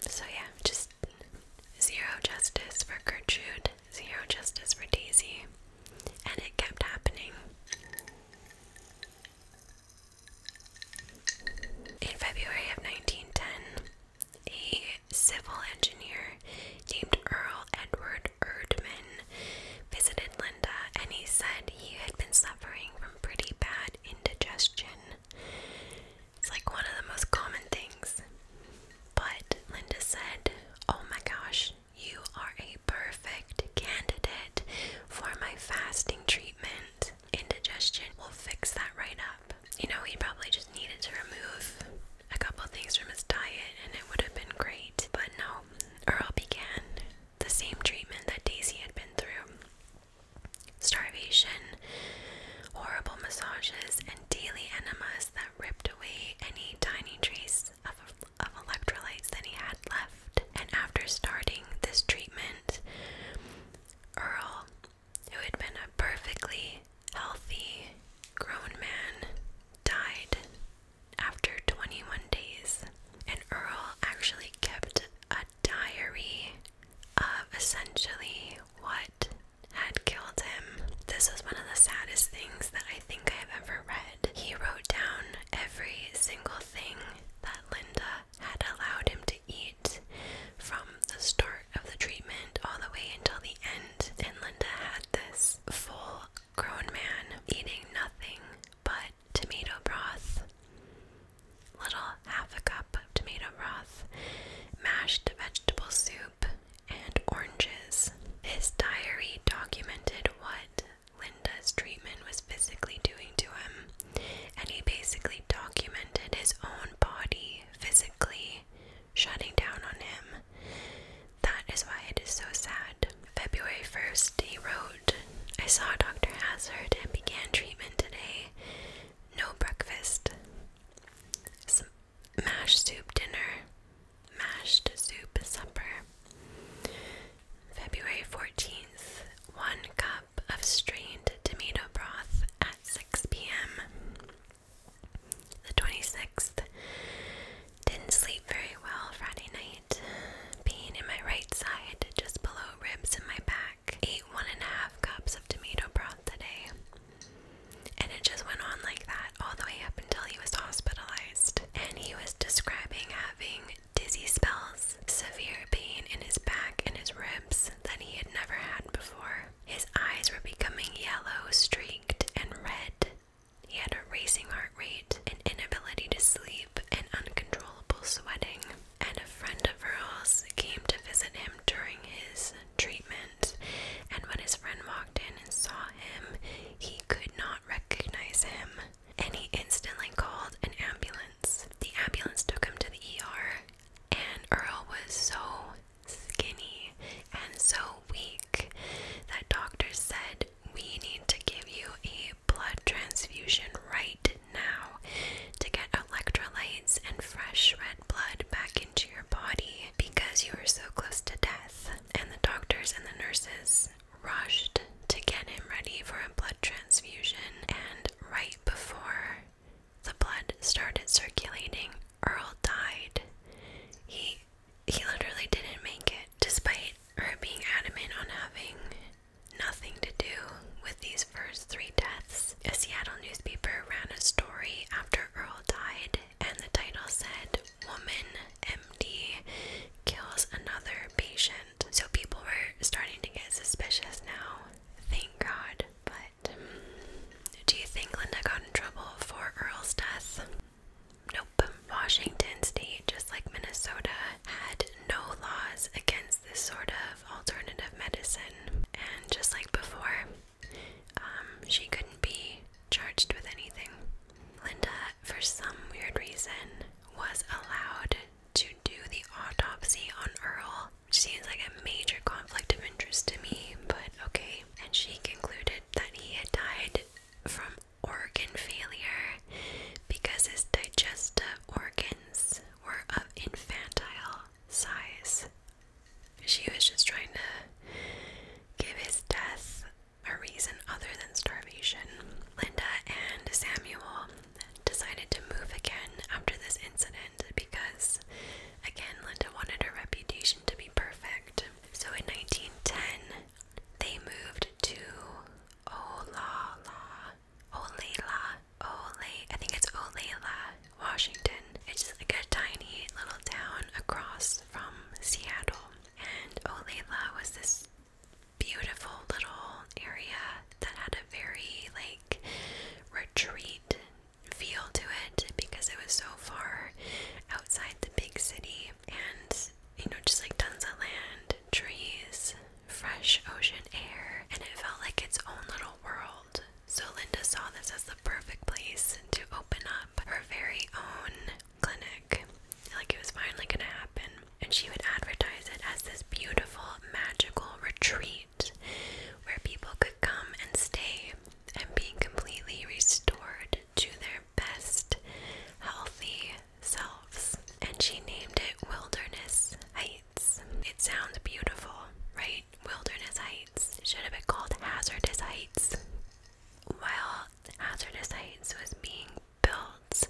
So, yeah, just zero justice for Gertrude had zero justice for Daisy, and it kept happening. In February of 1910, a civil engineer named Earl Edward Erdman visited Linda and he said he had been suffering from pretty bad indigestion. It's like one of the most common things. But Linda said, Oh my gosh, you are a perfect candidate for my fasting treatment. Indigestion will fix that right up. You know, he probably just needed to remove a couple things from his diet and it would have been great. But no, Earl began the same treatment that Daisy had been through starvation, horrible massages, and daily enemas that ripped away any tiny trace of, electrolytes that he had left. And after starting this treatment, Earl, who had been a perfectly healthy grown man, died after 21 days. And Earl actually kept a diary of essentially what had killed him. This is one of the saddest things that I think I have ever read. He wrote down every single thing that Linda had allowed him to eat from the start of the treatment all the way until the end. And Linda had this full grown man eating nothing but tomato broth. Little half a cup of tomato broth, mashed vegetable soup, and oranges. His diary documented what Linda's treatment was physically doing to him, and he basically documented his own body physically shutting down on him. That is why it is so sad. February 1st, he wrote, I saw Dr. Hazard and began treatment today. No breakfast. Mashed soup dinner, mashed soup supper. February 14th, 1 cup of strained tomato broth at 6 p.m. The 26th, didn't sleep very well Friday night. Pain in my right side, just below ribs in my back. Ate one and a half cups of tomato broth today. And it just went on like that all the way up until he was hospitalized. And he was describing having dizzy spells, severe pain in his back and his ribs that he had never had before. His eyes were becoming yellow, streaked, and red. He had a racing heart rate, an inability to sleep, and uncontrollable sweating. And a friend of Earl's came to visit him during his treatment, and when his friend walked in and saw him, he could not recognize him, and he instantly called an ambulance. The ambulance took him to the ER, and Earl was so skinny and so weak that doctors said, We need to give you a blood transfusion right now to get electrolytes and fresh red blood back in." into your body because you were so close to death. And the doctors and the nurses rushed to get him ready for a blood transfusion. And right before the blood started circulating, Earl died. He he literally didn't make it, despite her being adamant on having nothing to do with these first three deaths. A Seattle newspaper ran a story after Earl died, and the title said, woman MD kills another patient. So people were starting to get suspicious now. Thank God. But do you think Linda got in trouble for Earl's death? Nope. Washington State, just like Minnesota, had no laws against this sort of alternative medicine. And just like before, um, she couldn't be charged with anything. Linda, for some weird reason, was allowed to do the autopsy on Earl, which seems like a major conflict of interest to me, but okay. And she concluded that he had died from organ failure because his digestive organs were of infantile size. She was just trying to give his death a reason other than starvation. Linda and Samuel decided to move again after this incident because, again, Linda wanted her reputation to be perfect. So in 1910, they moved to Olala, Olela, Ole, I think it's Olela, Washington. It's just like a tiny little town across from Seattle. And Olela was this beautiful little area that had a very like retreat feel to it because it was so far outside the big city and you know just like tons of land, trees, fresh ocean air, and it felt like its own little world. So Linda saw this as the perfect place to open up her very own clinic. Like it was finally gonna happen. And she would advertise it as this beautiful, magical retreat where people could come and stay and be completely restored to their best, healthy selves. And she named it Wilderness Heights. It sounds beautiful, right? Wilderness Heights. Should have been called Hazardous Heights. While Hazardous Heights was being built,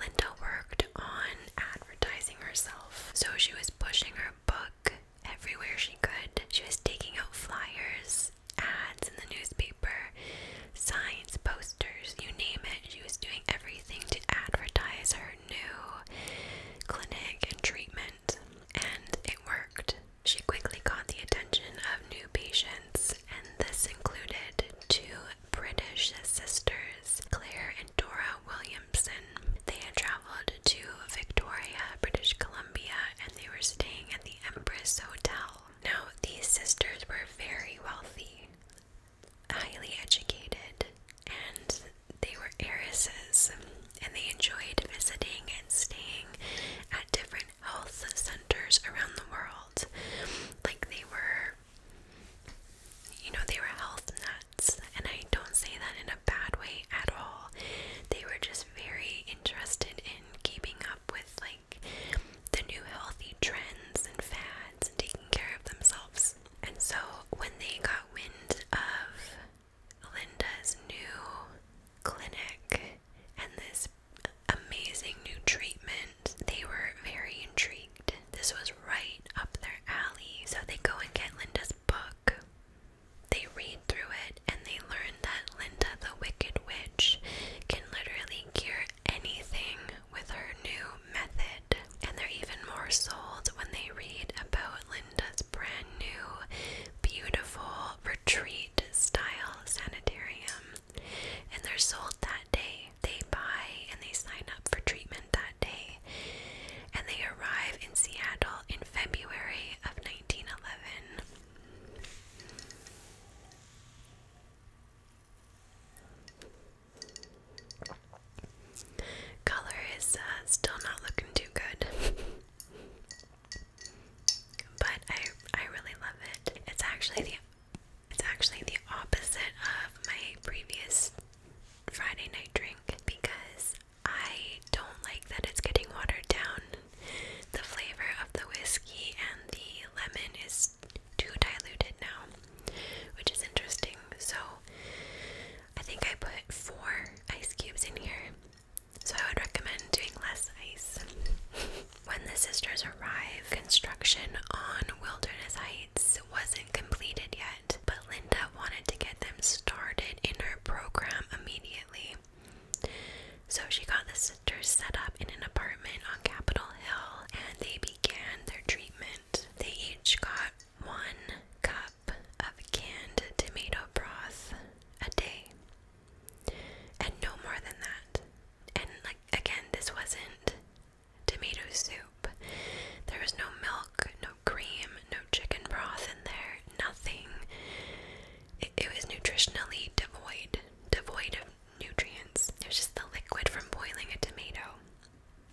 Linda worked on advertising herself. So she was pushing her book everywhere she could. She was taking out flyers, ads in the newspaper, signs, posters, you name it. She was doing everything to advertise her new clinic and treatment, and it worked. She quickly caught the attention of new patients, and this included two British sisters, Claire and Dora Williamson. They had traveled to Victoria, British Columbia, and they were staying at the Empress Hotel. Now, these sisters were very wealthy, highly educated, and they were heiresses, and they enjoyed visiting and staying at different different health centers around the world. Like they were, you know, they were health nuts, and I don't say that in a bad way at all. They were just very interested in keeping up with like the new healthy trends and fads and taking care of themselves. And so when they got wind of Linda's new clinic, and this amazing new treatment, they were very intrigued. This was right up their alley. So they go and get Linda's book. They read through it and they learn that Linda the Wicked Witch can literally cure anything with her new method. And they're even more sold when they read about Linda's brand new, beautiful, retreat style sanitarium and they're sold that day. They buy and they sign up for treatment that day. And they arrive in Seattle in February of 1911. Color is uh, still not looking too good. but I I really love it. It's actually the it's actually the opposite of my previous Friday night drink because I don't like that it's getting watered down. The flavor of the whiskey and the lemon is too diluted now, which is interesting. So I think I put four ice cubes in here so I would recommend doing less ice. when the sisters arrived, construction on Wilderness Heights wasn't completed yet, but Linda wanted to get them started in her program immediately. So she got the sisters set up in an apartment on Capitol Hill and they began their treatment. They each got one cup of canned tomato broth a day, and no more than that and like again, this wasn't tomato soup. There was no milk, no cream, no chicken broth in there, nothing. It, it was nutritionally devoid, devoid of nutrients. It was just the liquid from boiling a tomato.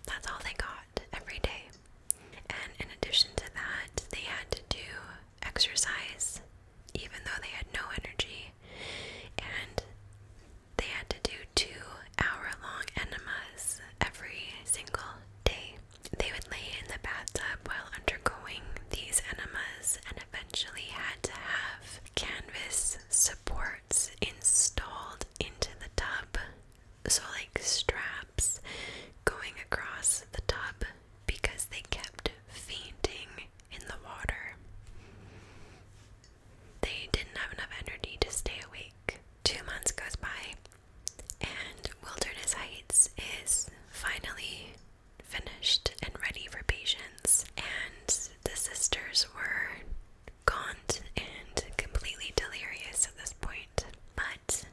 That's all they got every day. And in addition to that, they had to do exercise even though they had no energy and they had to do two hour long enemas every single day. They would lay in the bathtub while undergoing these enemas and eventually had to have canvas supports installed into the tub. So, like straps going across the tub because they kept fainting in the water. They didn't have enough energy to stay awake. Two months goes by, and Wilderness Heights is finally finished and ready for patients. And the sisters were gaunt and completely delirious at this point. But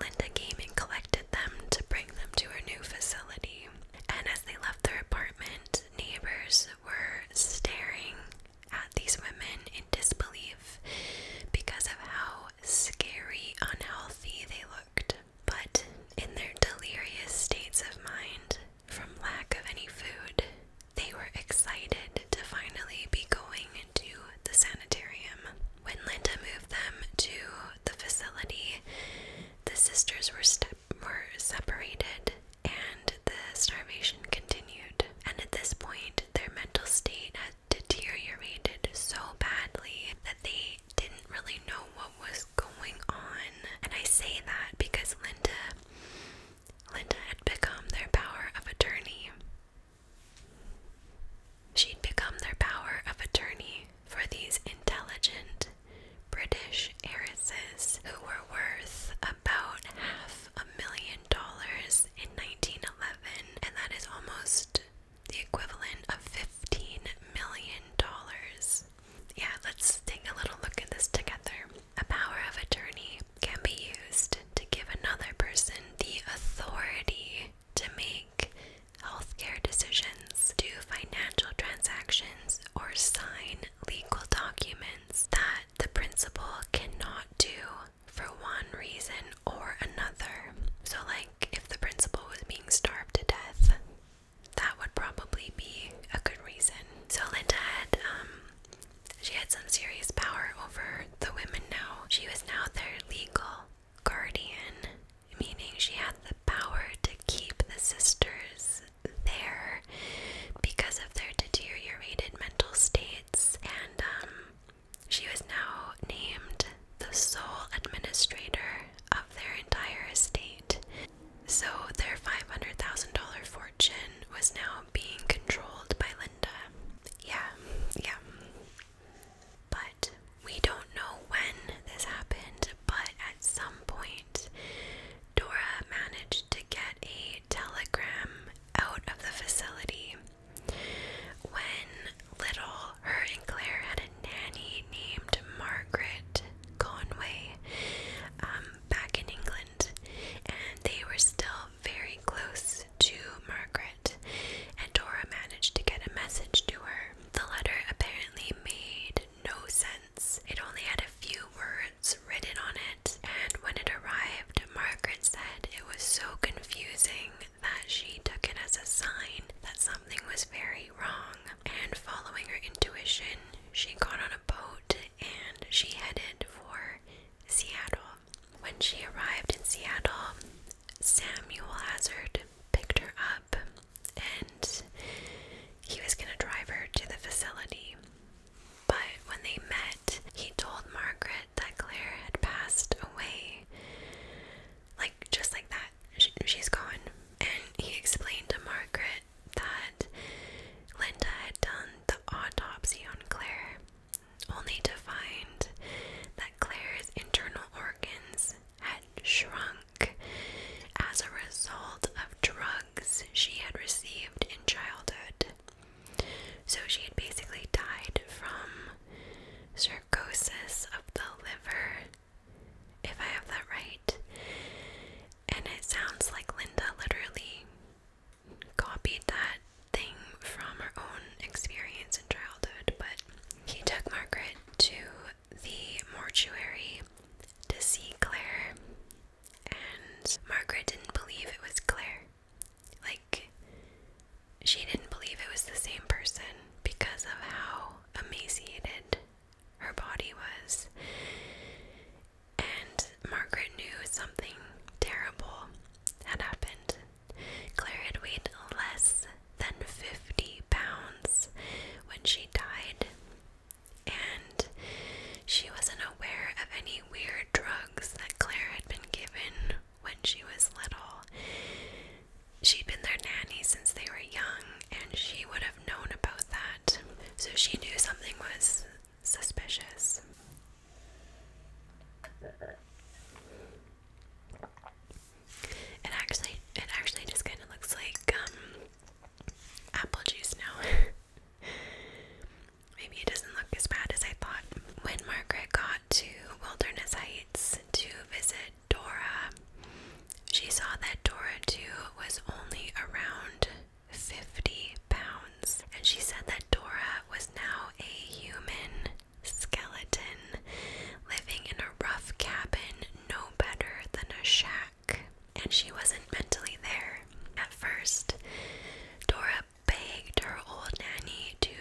Linda came and collected them to bring them to her new facility. And as they left their apartment, neighbors were staring at these women in disbelief because of how scary, unhealthy they looked. But in their delirious states of mind, from lack of any food, they were excited to finally be going to the sanitarium. When Linda moved them to the facility, the sisters were stepping were separated, and the starvation continued. And at this point, their mental state had deteriorated so badly that they didn't really know what was going on. And I say that because Linda Linda had become their power of attorney. She'd become their power of attorney for these intelligent British heiresses who were worth about half a million dollars in 1911, and that is almost the equivalent of 15 million dollars. Yeah, let's take a little look at this together. A power of attorney can be used to give another person the authority to make healthcare decisions funds, do financial transactions, or sign legal documents that the principal cannot do for one reason or another. So, like if the principal was being starved to death, that would probably be a good reason. So, Linda had, um, she had some serious power over the women now. She was now their legal guardian, meaning she had the power to keep the sisters there because of their deteriorated mental states, and um, she was now named the sole administrator of their entire estate. So their $500,000 fortune was now being controlled by Linda. Yeah, yeah. But we don't know when this happened, but at some point, Dora managed to get a telegram out of the facility. When little, her and Claire had a nanny named Margaret Conway um, back in England, and they were still very close to Margaret. And Dora managed to get a message to her. The letter apparently made no sense. It only had a few words written on it, and when it arrived, Margaret said it was so confusing that she took it as a sign that something was very wrong. And following her intuition, she got on a boat and she headed for Seattle. When she arrived in Seattle, Samuel Hazard picked her up and he was going to drive her to the facility. But when they met, he told Margaret that Claire had passed away. Like, just like that. She, she's gone. And he explained to Margaret that Linda had done the autopsy on Claire, only to find that Claire's internal organs had shrunk as a result of drugs she had received in childhood. So she had basically died from cirrhosis of the liver, if I have that right. And it sounds like Linda literally copied that thing from her own experience in childhood, but he took Margaret to the mortuary to see Claire, and Margaret didn't believe it was Claire. Like, she didn't believe it was the same person because of how emaciated her body was. And Margaret knew something terrible had happened. Claire had weighed less than 50 pounds when she died, and she wasn't aware of any weird drugs that Claire had been given when she was little. She'd been their nanny since they were young, and she would have known about that, so she knew something was suspicious. It actually, it actually just kind of looks like um, apple juice now. Maybe it doesn't look as bad as I thought. When Margaret got to Wilderness Heights to visit Dora, she saw that Dora, too, was only around 50 pounds. And she said that Dora was now a human skeleton living in a rough cabin no better than a shack and she wasn't mentally there. At first, Dora begged her old nanny to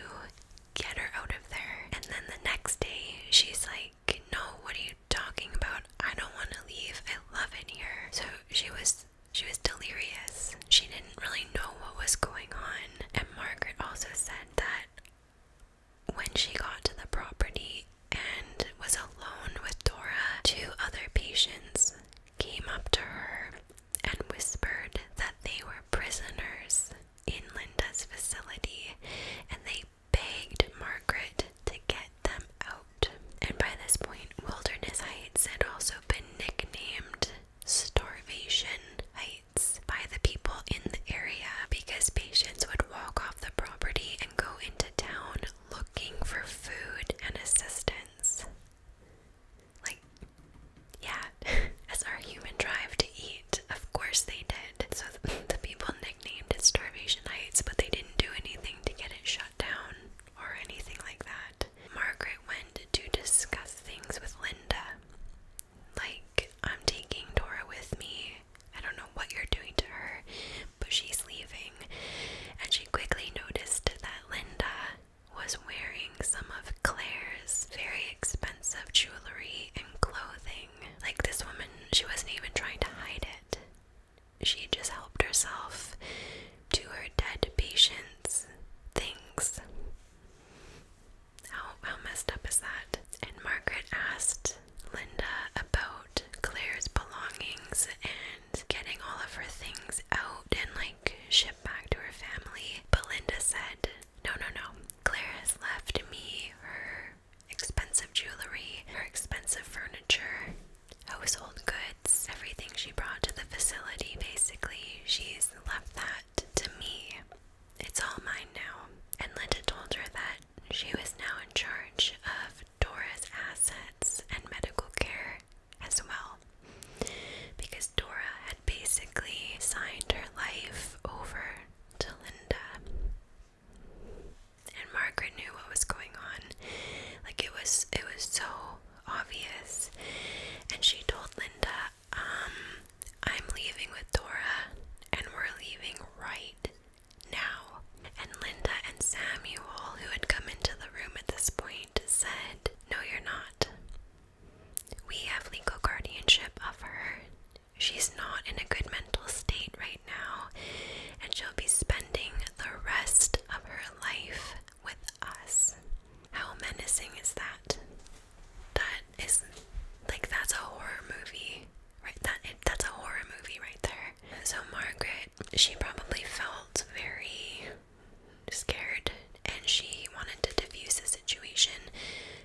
get her out of there, and then the next day, she's like, No, what are you talking about? I don't want to leave. I love it here. So she was. She was delirious. She didn't really know what was going on. And Margaret also said that when she got to the property, and was alone with Dora, two other patients came up to her and whispered that they were prisoners in Linda's facility and they begged Margaret to get them out. And by this point, Wilderness Heights had also been nicknamed Starvation Heights by the people in the area because patients would walk off the property and go into town looking for food and assistance. Like, yeah, as our human drive to eat, of course they did. So the, people nicknamed it Starvation Heights, but they didn't do anything to get it shut down or anything like that. Margaret went to discuss things with Linda. Like, I'm taking Dora with me. I don't know what you're doing to her, but she's leaving. And she quickly noticed that Linda was wearing some of Claire's very expensive jewelry and clothing. Like this woman, she wasn't even trying to hide it. She just helped herself to her dead patient's things. How, how messed up is that? And Margaret asked Linda about Claire's belongings and getting all of her things out and like shipped back to her family. But Linda said, No, no, no. Claire has left me her expensive jewelry, her expensive furniture, household goods, everything she brought to the facility. Basically, she's left that to me. It's all mine now. And Linda told her that she was now in charge of Dora's assets and medical care as well. Because Dora had basically signed her life over to Linda. And Margaret knew what was going on. Like it was it was so obvious. And she told Linda, um, I'm leaving with Dora and we're leaving right now. And Linda and Samuel, who had come into the room at this point, said, No, you're not. We have legal guardianship of her. She's not in a good mental state right now, and she'll be spending the rest of her life with us. How menacing is that? That is like that's a horror movie, right? That that's a horror movie right there. So, Margaret, she probably felt very scared and she wanted to diffuse the situation,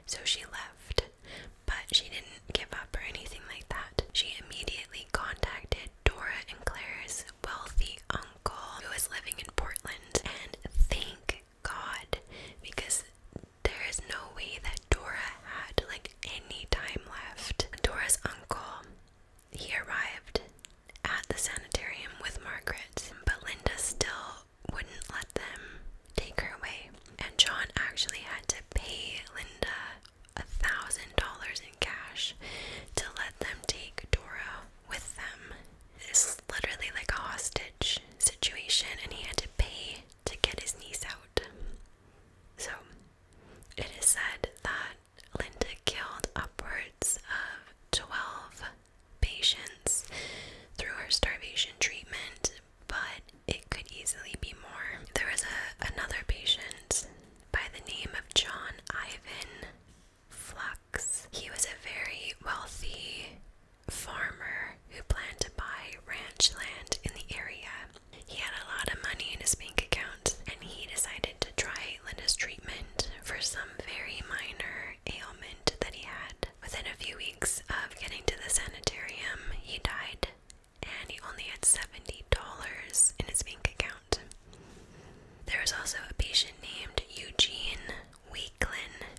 so she left. But she didn't give up or anything like that. She immediately contacted Dora and Claire's wealthy uncle who was living in Portland, and thank God because there is no way that Dora had like any time left. Dora's uncle he arrived at the sanitarium with Margaret, but Linda still wouldn't let them take her away. And John actually had to pay Linda a thousand dollars in cash to let them take Dora with them. It's literally like a hostage situation, and he had to pay to get his niece out. So it is said that Linda killed upwards of 12 patients through her starvation treatment, but it could easily be more. There was a, another patient by the name of John Ivan Flux. He was a very wealthy farmer who planned to buy ranch land in the area. He had a lot of money in his bank account, and he decided to try Linda's treatment for some very minor ailment that he had. Within a few weeks of getting to the sanitarium, he died, and he only had $70 in his bank account. There was also a patient named Eugene Weaklin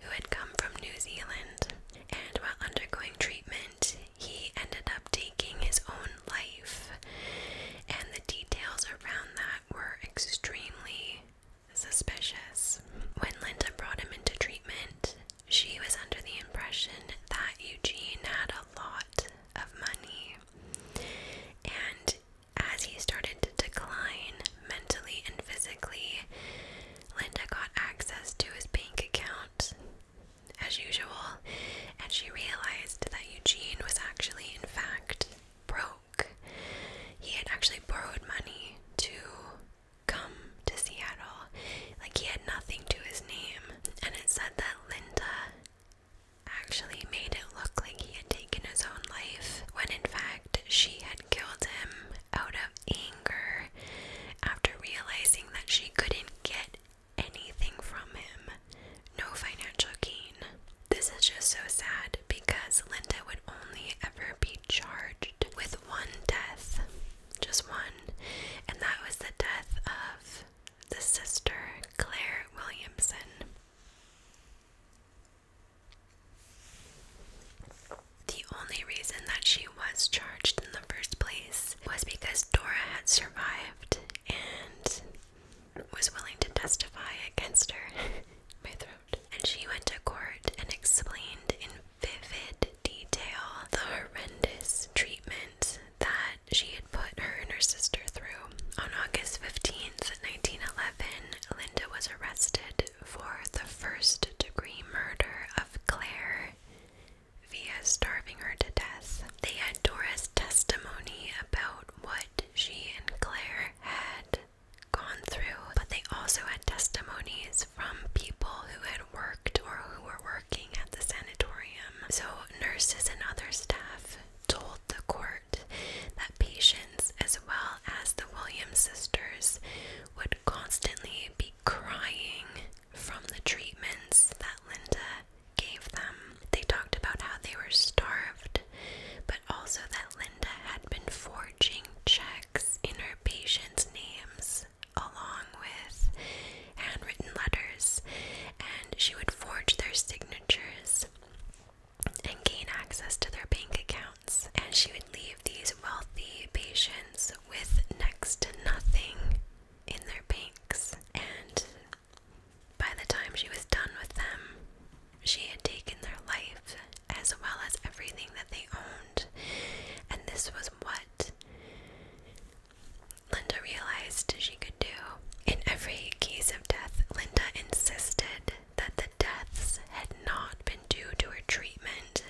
who had come from New Zealand, and while undergoing treatment, he ended up taking his own life, and the details around that were extremely suspicious. When Linda brought him into treatment, she was under the impression that Eugene had a lot of money, and as he started to decline mentally and physically, Linda got access to his bank account as usual, and she realized that Eugene was actually, in fact, broke. He had actually borrowed money to come to Seattle. Like, he had nothing to his name. And it said that Linda actually made it look like he had taken his own life, when in fact, she had killed him out of anger after realizing that she couldn't get anything from him, no financial gain. This is just so sad because Linda would only ever be charged with one death, just one, and that was the death of the sister Claire Williamson. The only reason that she was charged in the first place was because Dora had survived and was willing to testify against her. And she went to court and explained in vivid detail the horrendous treatment that she had put her and her sister through. On August 15th, 1911, Linda was arrested for the first degree murder of Claire via starving her to death. They had Dora's testimony about what she and Claire had gone through, but they also had testimonies from people who had worked or who were working at the sanatorium. So, nurses and other staff told the court that patients, as well as the Williams sisters, would constantly be crying from the treatments that Linda gave them, they talked about how they were starved, but also that Linda had been forging checks in her patients' names along with handwritten letters, and she would forge their signatures and gain access to their bank accounts. And she would leave these wealthy patients with next to nothing in their banks. And by the time she was done with them, she had taken their life as well as everything that they owned, and this was what Linda realized she could do. In every case of death, Linda insisted that the deaths had not been due to her treatment,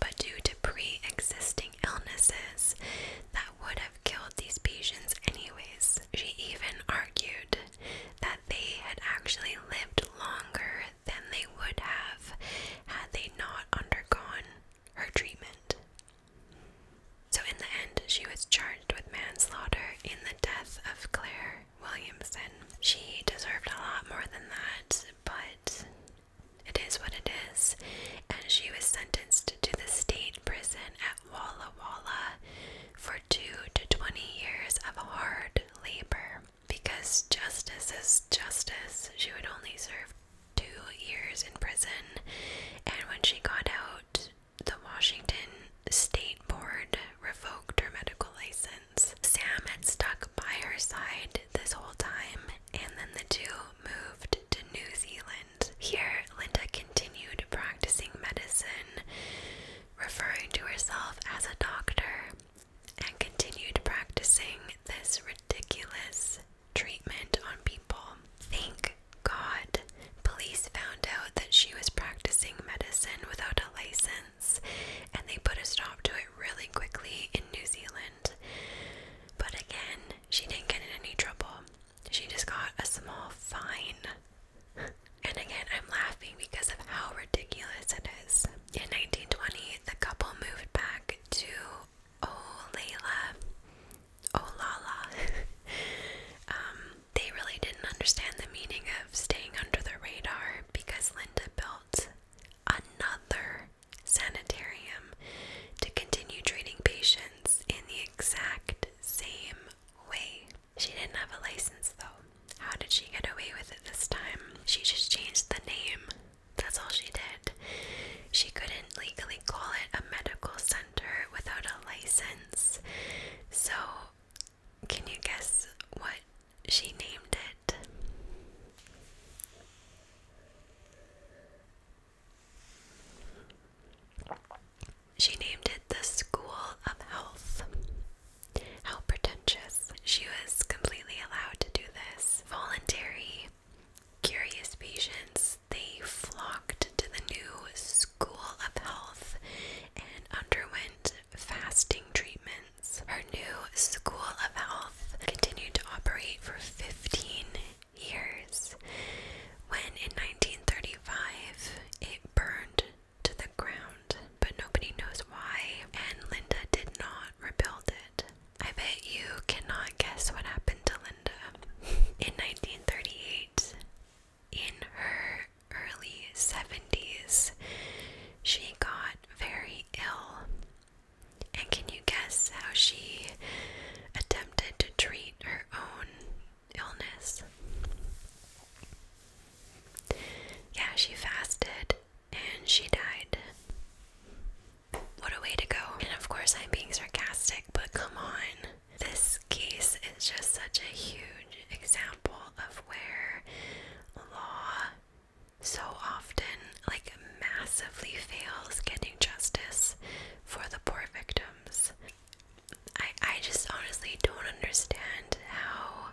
but due to pre existing illnesses that would have killed these patients, anyways she even argued that they had actually lived longer than they would have had they not undergone her treatment. So, in the end, she was charged with manslaughter in the death of Claire Williamson. She deserved a lot more than that, but it is what it is, and she was sentenced to the state prison Walla Walla for two to 20 years of hard labor. Because justice is justice, she would only serve two years in prison. And when she got out, the Washington State Board revoked her medical license. Sam had stuck by her side this whole time, and then the two moved to New Zealand. And here, Linda continued practicing medicine, referring to herself as a doctor, and continued practicing this ridiculous treatment on people. Thank God, police found out that she was practicing medicine without a license, and they put a stop to it really quickly in New Zealand. But again, she didn't get in any trouble she just got a small fine. And again, I'm laughing because of how ridiculous it is. In 1920, the couple moved back to Olayla. Olala. um, they really didn't understand the meaning of staying under the radar because Linda built another sanitarium to continue treating patients in the exact same way. She didn't have a license though. How did she get away with it this time? She just changed the name. That's all she did. She couldn't legally call it a medical center without a license. So, can you guess what she named it? She named it the School of Health. How pretentious. She was completely allowed to do this. Voluntary, curious patients, they flocked to the new School of Health and underwent fasting treatments. Her new School of Health continued to operate for 15 years when in 1935 it burned to the ground, but nobody knows why, and Linda did not rebuild it. I bet you cannot guess what happened to Linda. In 1938, in her early 70s, she got very ill. And can you guess how she attempted to treat her own illness. Yeah, she fasted and she died. What a way to go. And of course, I'm being sarcastic, but come on. This case is just such a huge example of where law so often, like, massively fails getting justice for the poor victims. I I just honestly don't understand how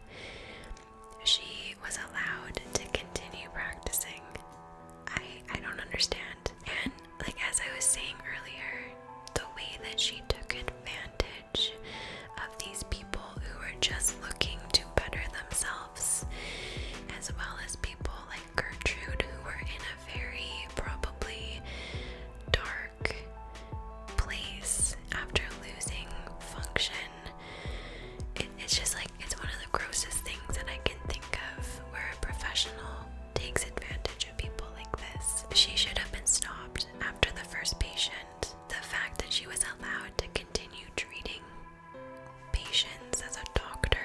she was allowed to continue practicing. I I don't understand. And like as I was saying earlier, the way that she took advantage of these people who were just looking to better themselves, as well as people like Gertrude who were in a very probably dark place after losing function. it's just like it's one of the grossest things that I can think of where a professional takes advantage of people like this. She should have been stopped after the first patient. The fact that she was allowed to continue treating patients as a doctor,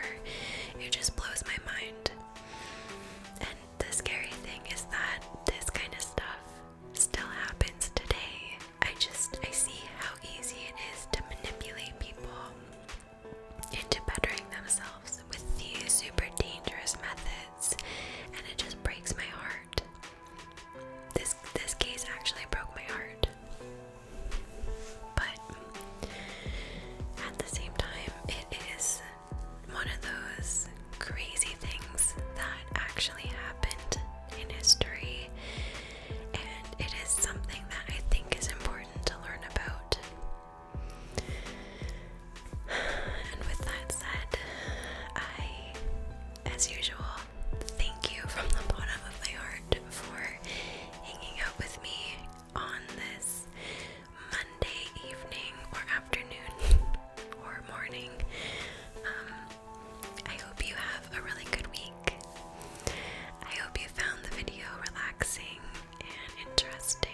it just blows my mind. The scary thing is that this kind of stuff still happens today. I just I see how easy it is to manipulate people into bettering themselves with these super dangerous methods and it just breaks my heart. This this case actually broke my heart. But at the same time, it is one of those crazy things that actually happened in history, and it is something that I think is important to learn about. And with that said, I, as usual, thank you from the bottom of my heart for hanging out with me on this Monday evening or afternoon or morning. Um, I hope you have a really good week. I hope you found the video relaxing and interesting.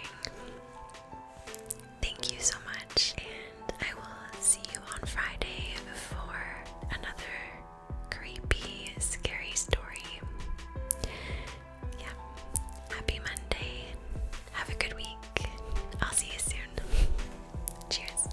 Thank you so much, and I will see you on Friday for another creepy, scary story. Yeah, happy Monday. Have a good week. I'll see you soon. Cheers.